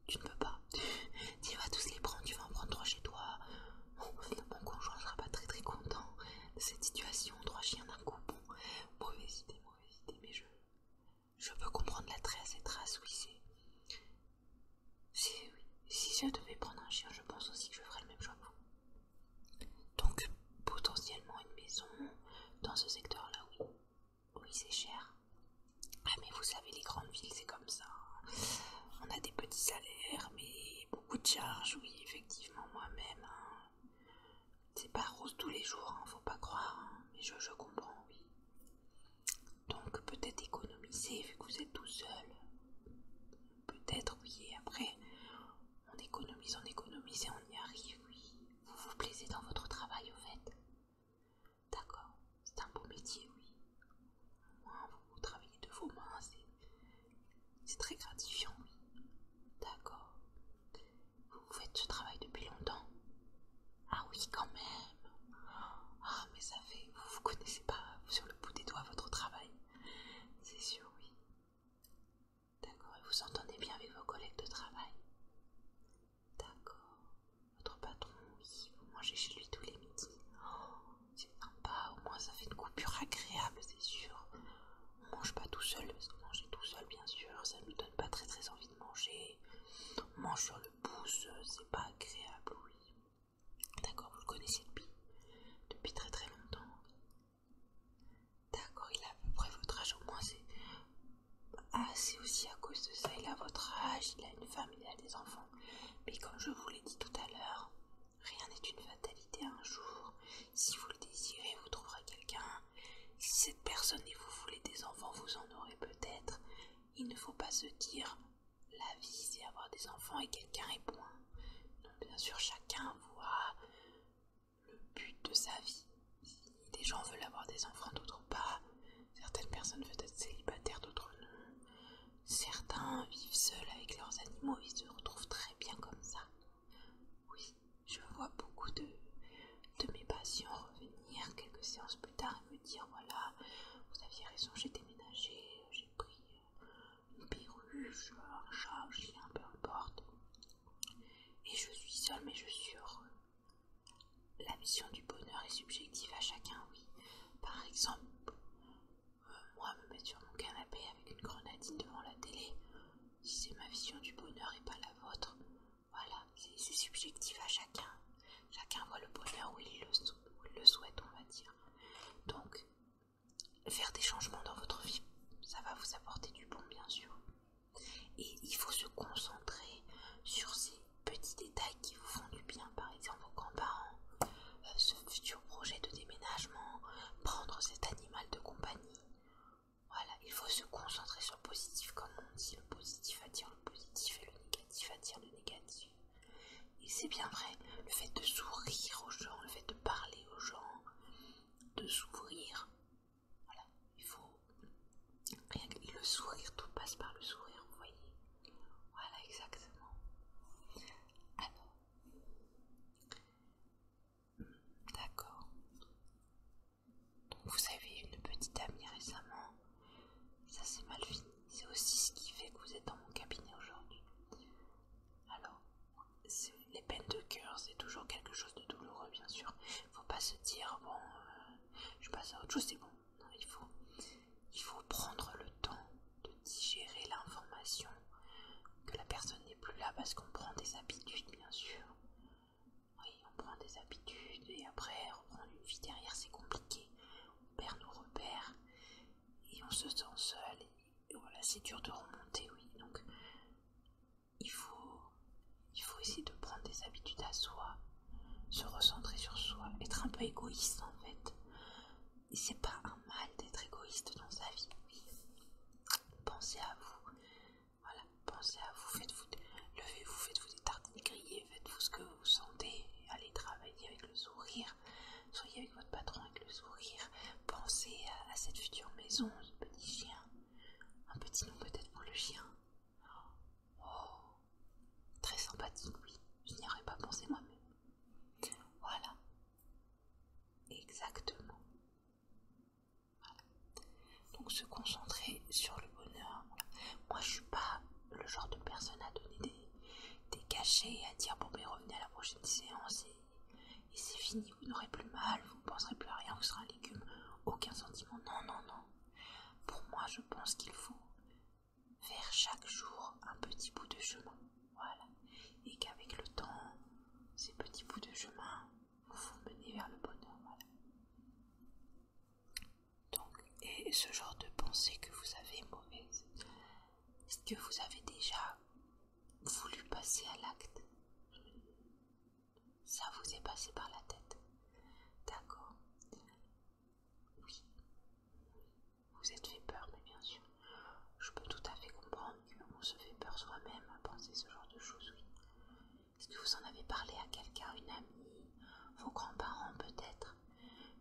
tu ne peux pas. Tu vas tous les prendre, tu vas en prendre trois chez toi. mon conjoint sera pas très très content de cette situation. Trois chiens d'un coup, bon, mauvaise idée, mauvaise idée, mais je, je peux comprendre la trace et trace, oui, c'est. Si, si je devais prendre un chien, je pense aussi que je ferais le même choix que vous. Donc, potentiellement une maison dans ce secteur-là, oui. Oui, c'est cher. Ah, mais vous savez, les grandes villes, c'est comme ça. On a des petits salaires, mais beaucoup de charges, oui, effectivement, moi-même. Hein. C'est pas rose tous les jours, hein, faut pas croire, hein. mais je, comprends, oui. Donc, peut-être économiser, vu que vous êtes tout seul. Peut-être, oui, et après, on économise, on économise et on y arrive, oui. Vous vous plaisez dans votre travail, au fait D'accord, c'est un beau métier, oui. Au vous travaillez de vos mains, c'est très gratifiant, oui. D'accord. Vous faites ce travail depuis longtemps Ah oui, quand même. Ah, mais ça fait, vous vous connaissez pas sur le bout des doigts votre travail. C'est sûr, oui. D'accord, et vous entendez bien avec vos collègues de travail D'accord. Votre patron, oui, vous mangez chez lui tous les midis. Oh, c'est sympa, au moins ça fait une coupure agréable, c'est sûr. On mange pas tout seul, parce manger tout seul, bien sûr, ça ne nous donne pas très très envie de manger. On mange sur le pouce, c'est pas agréable, oui. D'accord, vous le connaissez depuis, depuis très très longtemps. D'accord, il a à peu près votre âge, au moins c'est ah, c'est aussi à cause de ça, il a votre âge, il a une femme, il a des enfants. Mais comme je vous l'ai dit tout à l'heure, rien n'est une fatalité un jour. Si vous le désirez, vous trouverez quelqu'un. Si cette personne et vous voulez des enfants, vous en aurez peut-être. Il ne faut pas se dire la vie, c'est avoir des enfants et quelqu'un est bon bien sûr, chacun voit le but de sa vie. Des gens veulent avoir des enfants, d'autres pas. Certaines personnes veulent être célibataires, d'autres non. Certains vivent seuls avec leurs animaux et se retrouvent très bien comme ça. Oui, je vois beaucoup de, mes patients revenir quelques séances plus tard et me dire voilà, vous aviez raison, j'ai déménagé, j'ai pris une perruche, un chat, un chien, peu importe. Et je suis seule, mais je suis heureux. La vision du bonheur est subjective à chacun, oui. Par exemple, moi me mettre sur mon canapé avec une grenadine devant la télé, c'est ma vision du bonheur et pas la vôtre, voilà, c'est subjectif à chacun. Chacun voit le bonheur où il le, le souhaite, on va dire. Donc, faire des changements dans votre vie, ça va vous apporter du bon, bien sûr. Et il faut se concentrer sur ces petits détails qui vous font du bien, par exemple vos grands-parents, euh, ce futur projet de déménagement, prendre cet animal de compagnie. Voilà, il faut se concentrer sur le positif, comme on dit, le positif attire le positif et le négatif attire le négatif. Et c'est bien vrai, le fait de sourire aux gens, le fait de parler aux gens, de s'ouvrir, voilà, il faut le sourire, tout passe par le sourire, vous voyez. Voilà, exactement. Alors, hmm, d'accord. Donc vous avez une petite amie récemment. Ça c'est mal fini. C'est aussi ce qui fait que vous êtes dans mon cabinet aujourd'hui. Alors, les peines de cœur, c'est toujours quelque chose de douloureux, bien sûr. Faut pas se dire bon, euh, je passe à autre chose, c'est bon, il faut, prendre le temps de digérer l'information que la personne n'est plus là parce qu'on prend des habitudes, bien sûr. Oui, on prend des habitudes et après reprendre une vie derrière, c'est compliqué. On perd nos repères et on se sent seul. voilà, c'est dur de remonter, oui. Donc, il faut essayer de prendre des habitudes à soi se recentrer sur soi, être un peu égoïste en fait. c'est pas un mal d'être égoïste dans sa vie. Pensez à vous. Voilà, pensez à vous, faites-vous, levez-vous, faites-vous des tartines grillées, faites-vous ce que vous sentez, allez travailler avec le sourire, soyez avec votre patron avec le sourire, pensez à, cette future maison, ce petit chien, un petit nom peut-être pour le chien, Oh, très sympathique, oui. Je n'y aurais pas pensé moi-même. Voilà. Exactement. Donc se concentrer sur le bonheur. Moi, je suis pas le genre de personne à donner des, cachets à dire bon, mais ben, revenez à la prochaine séance et, c'est fini, vous n'aurez plus mal, vous ne penserez plus à rien, vous serez un légume, aucun sentiment. Non, non, non. Pour moi, je pense qu'il faut vers chaque jour un petit bout de chemin. Voilà. Et qu'avec le temps, ces petits bouts de chemin vous font mener vers le bonheur. Voilà. Donc, et ce genre de pensée que vous avez mauvaise, est-ce que vous avez déjà voulu passer à l'acte Ça vous est passé par la tête. D'accord. Oui. Vous êtes fait peur, mais bien sûr. Je peux tout à fait comprendre qu'on se fait peur soi-même à penser ce genre de choses, oui. Est-ce que vous en avez parlé à quelqu'un, une amie, vos grands-parents peut-être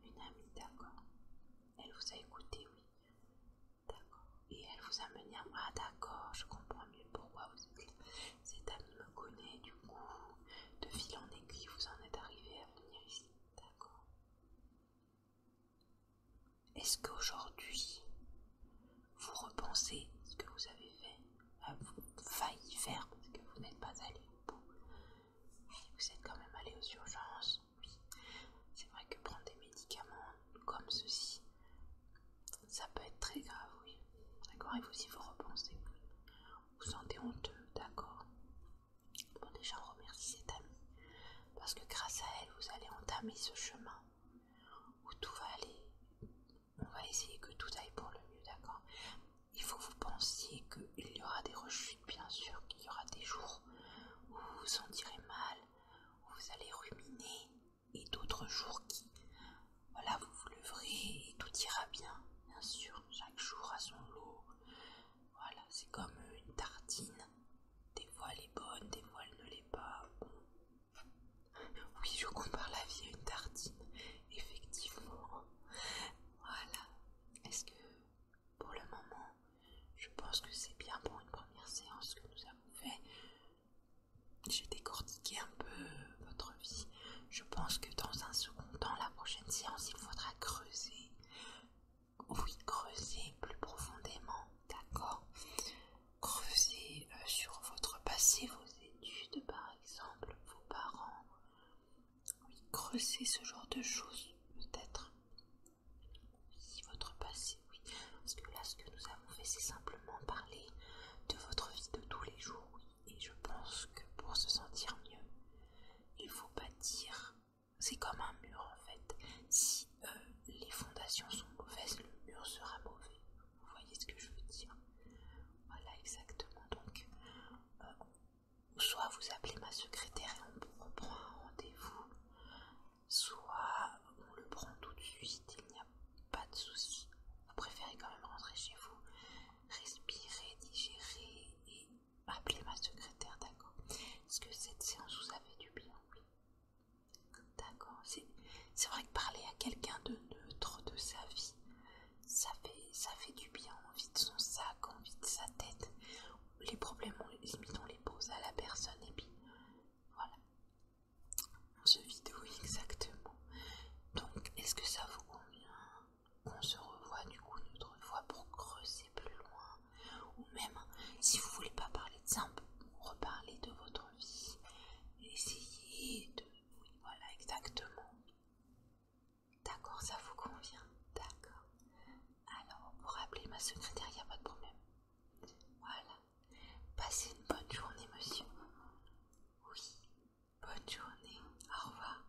Une amie, d'accord. Elle vous a écouté, oui. D'accord. Et elle vous a mené à moi, ah, d'accord, je comprends mieux pourquoi vous êtes Cette amie me connaît, du coup, de fil en aiguille, vous en êtes arrivé est-ce qu'aujourd'hui, vous repensez ce que vous avez fait, à euh, vous failli faire parce que vous n'êtes pas allé au bout Oui, vous êtes quand même allé aux urgences, C'est vrai que prendre des médicaments comme ceci, ça peut être très grave, oui. D'accord Et vous, si vous repensez, vous vous sentez honteux, d'accord Bon déjà on remercie cette amie, parce que grâce à elle vous allez entamer ce chemin où tout va aller. On va essayer que tout aille pour le mieux, d'accord Il faut que vous pensiez qu'il y aura des rechutes, bien sûr, qu'il y aura des jours où vous vous sentirez mal, où vous allez ruminer, et d'autres jours qui, voilà, vous vous leverez et tout ira bien. Bien sûr, chaque jour a son lot voilà, c'est comme euh, une tartine. Des fois elle est bonne, des voiles ne l'est pas. [laughs] Oui, je compare la vie à une tartine, effectivement. Voilà. Est-ce que pour le moment, je pense que c'est bien pour une première séance que nous avons fait. J'ai décortiqué un peu euh, votre vie. Je pense que dans un second temps, la prochaine séance, il faudra creuser oui, creuser plus profondément, d'accord Creuser euh, sur votre passé, vos études par exemple, vos parents. Oui, creuser ce genre de choses peut-être. Oui, votre passé, oui. Parce que là, ce que nous avons fait, c'est simplement parler de votre vie de tous les jours, oui. Et je pense que pour se sentir mieux, il faut pas dire, C'est comme un mur en fait. Si euh, les fondations sont mauvaises, le mur sera mauvais. Vous voyez ce que je veux dire Voilà exactement. Donc, euh, soit vous appelez ma secrétaire et on prend un rendez-vous, soit on le prend tout de suite, il n'y a pas de souci. Vous préférez quand même rentrer chez vous, respirer, digérer et appelez ma secrétaire, d'accord Est-ce que cette séance vous a fait du bien Oui. D'accord. C'est vrai que parler à quelqu'un de neutre de sa vie, ça fait, ça fait du bien. On vide son sac, on vide sa tête. Les problèmes, on, limite, on les pose à la personne et puis voilà. On se vide, exactement. Donc, est-ce que ça vous convient on se revoit du coup une autre fois pour creuser plus loin. Ou même, si vous voulez pas parler de ça, on reparler de votre vie. Essayez de... voilà, exactement. D'accord, ça vous convient D'accord. Alors, pour rappeler ma secrétaire, il n'y a pas de problème. Voilà. Passez une bonne journée, monsieur. Oui, bonne journée. Au revoir.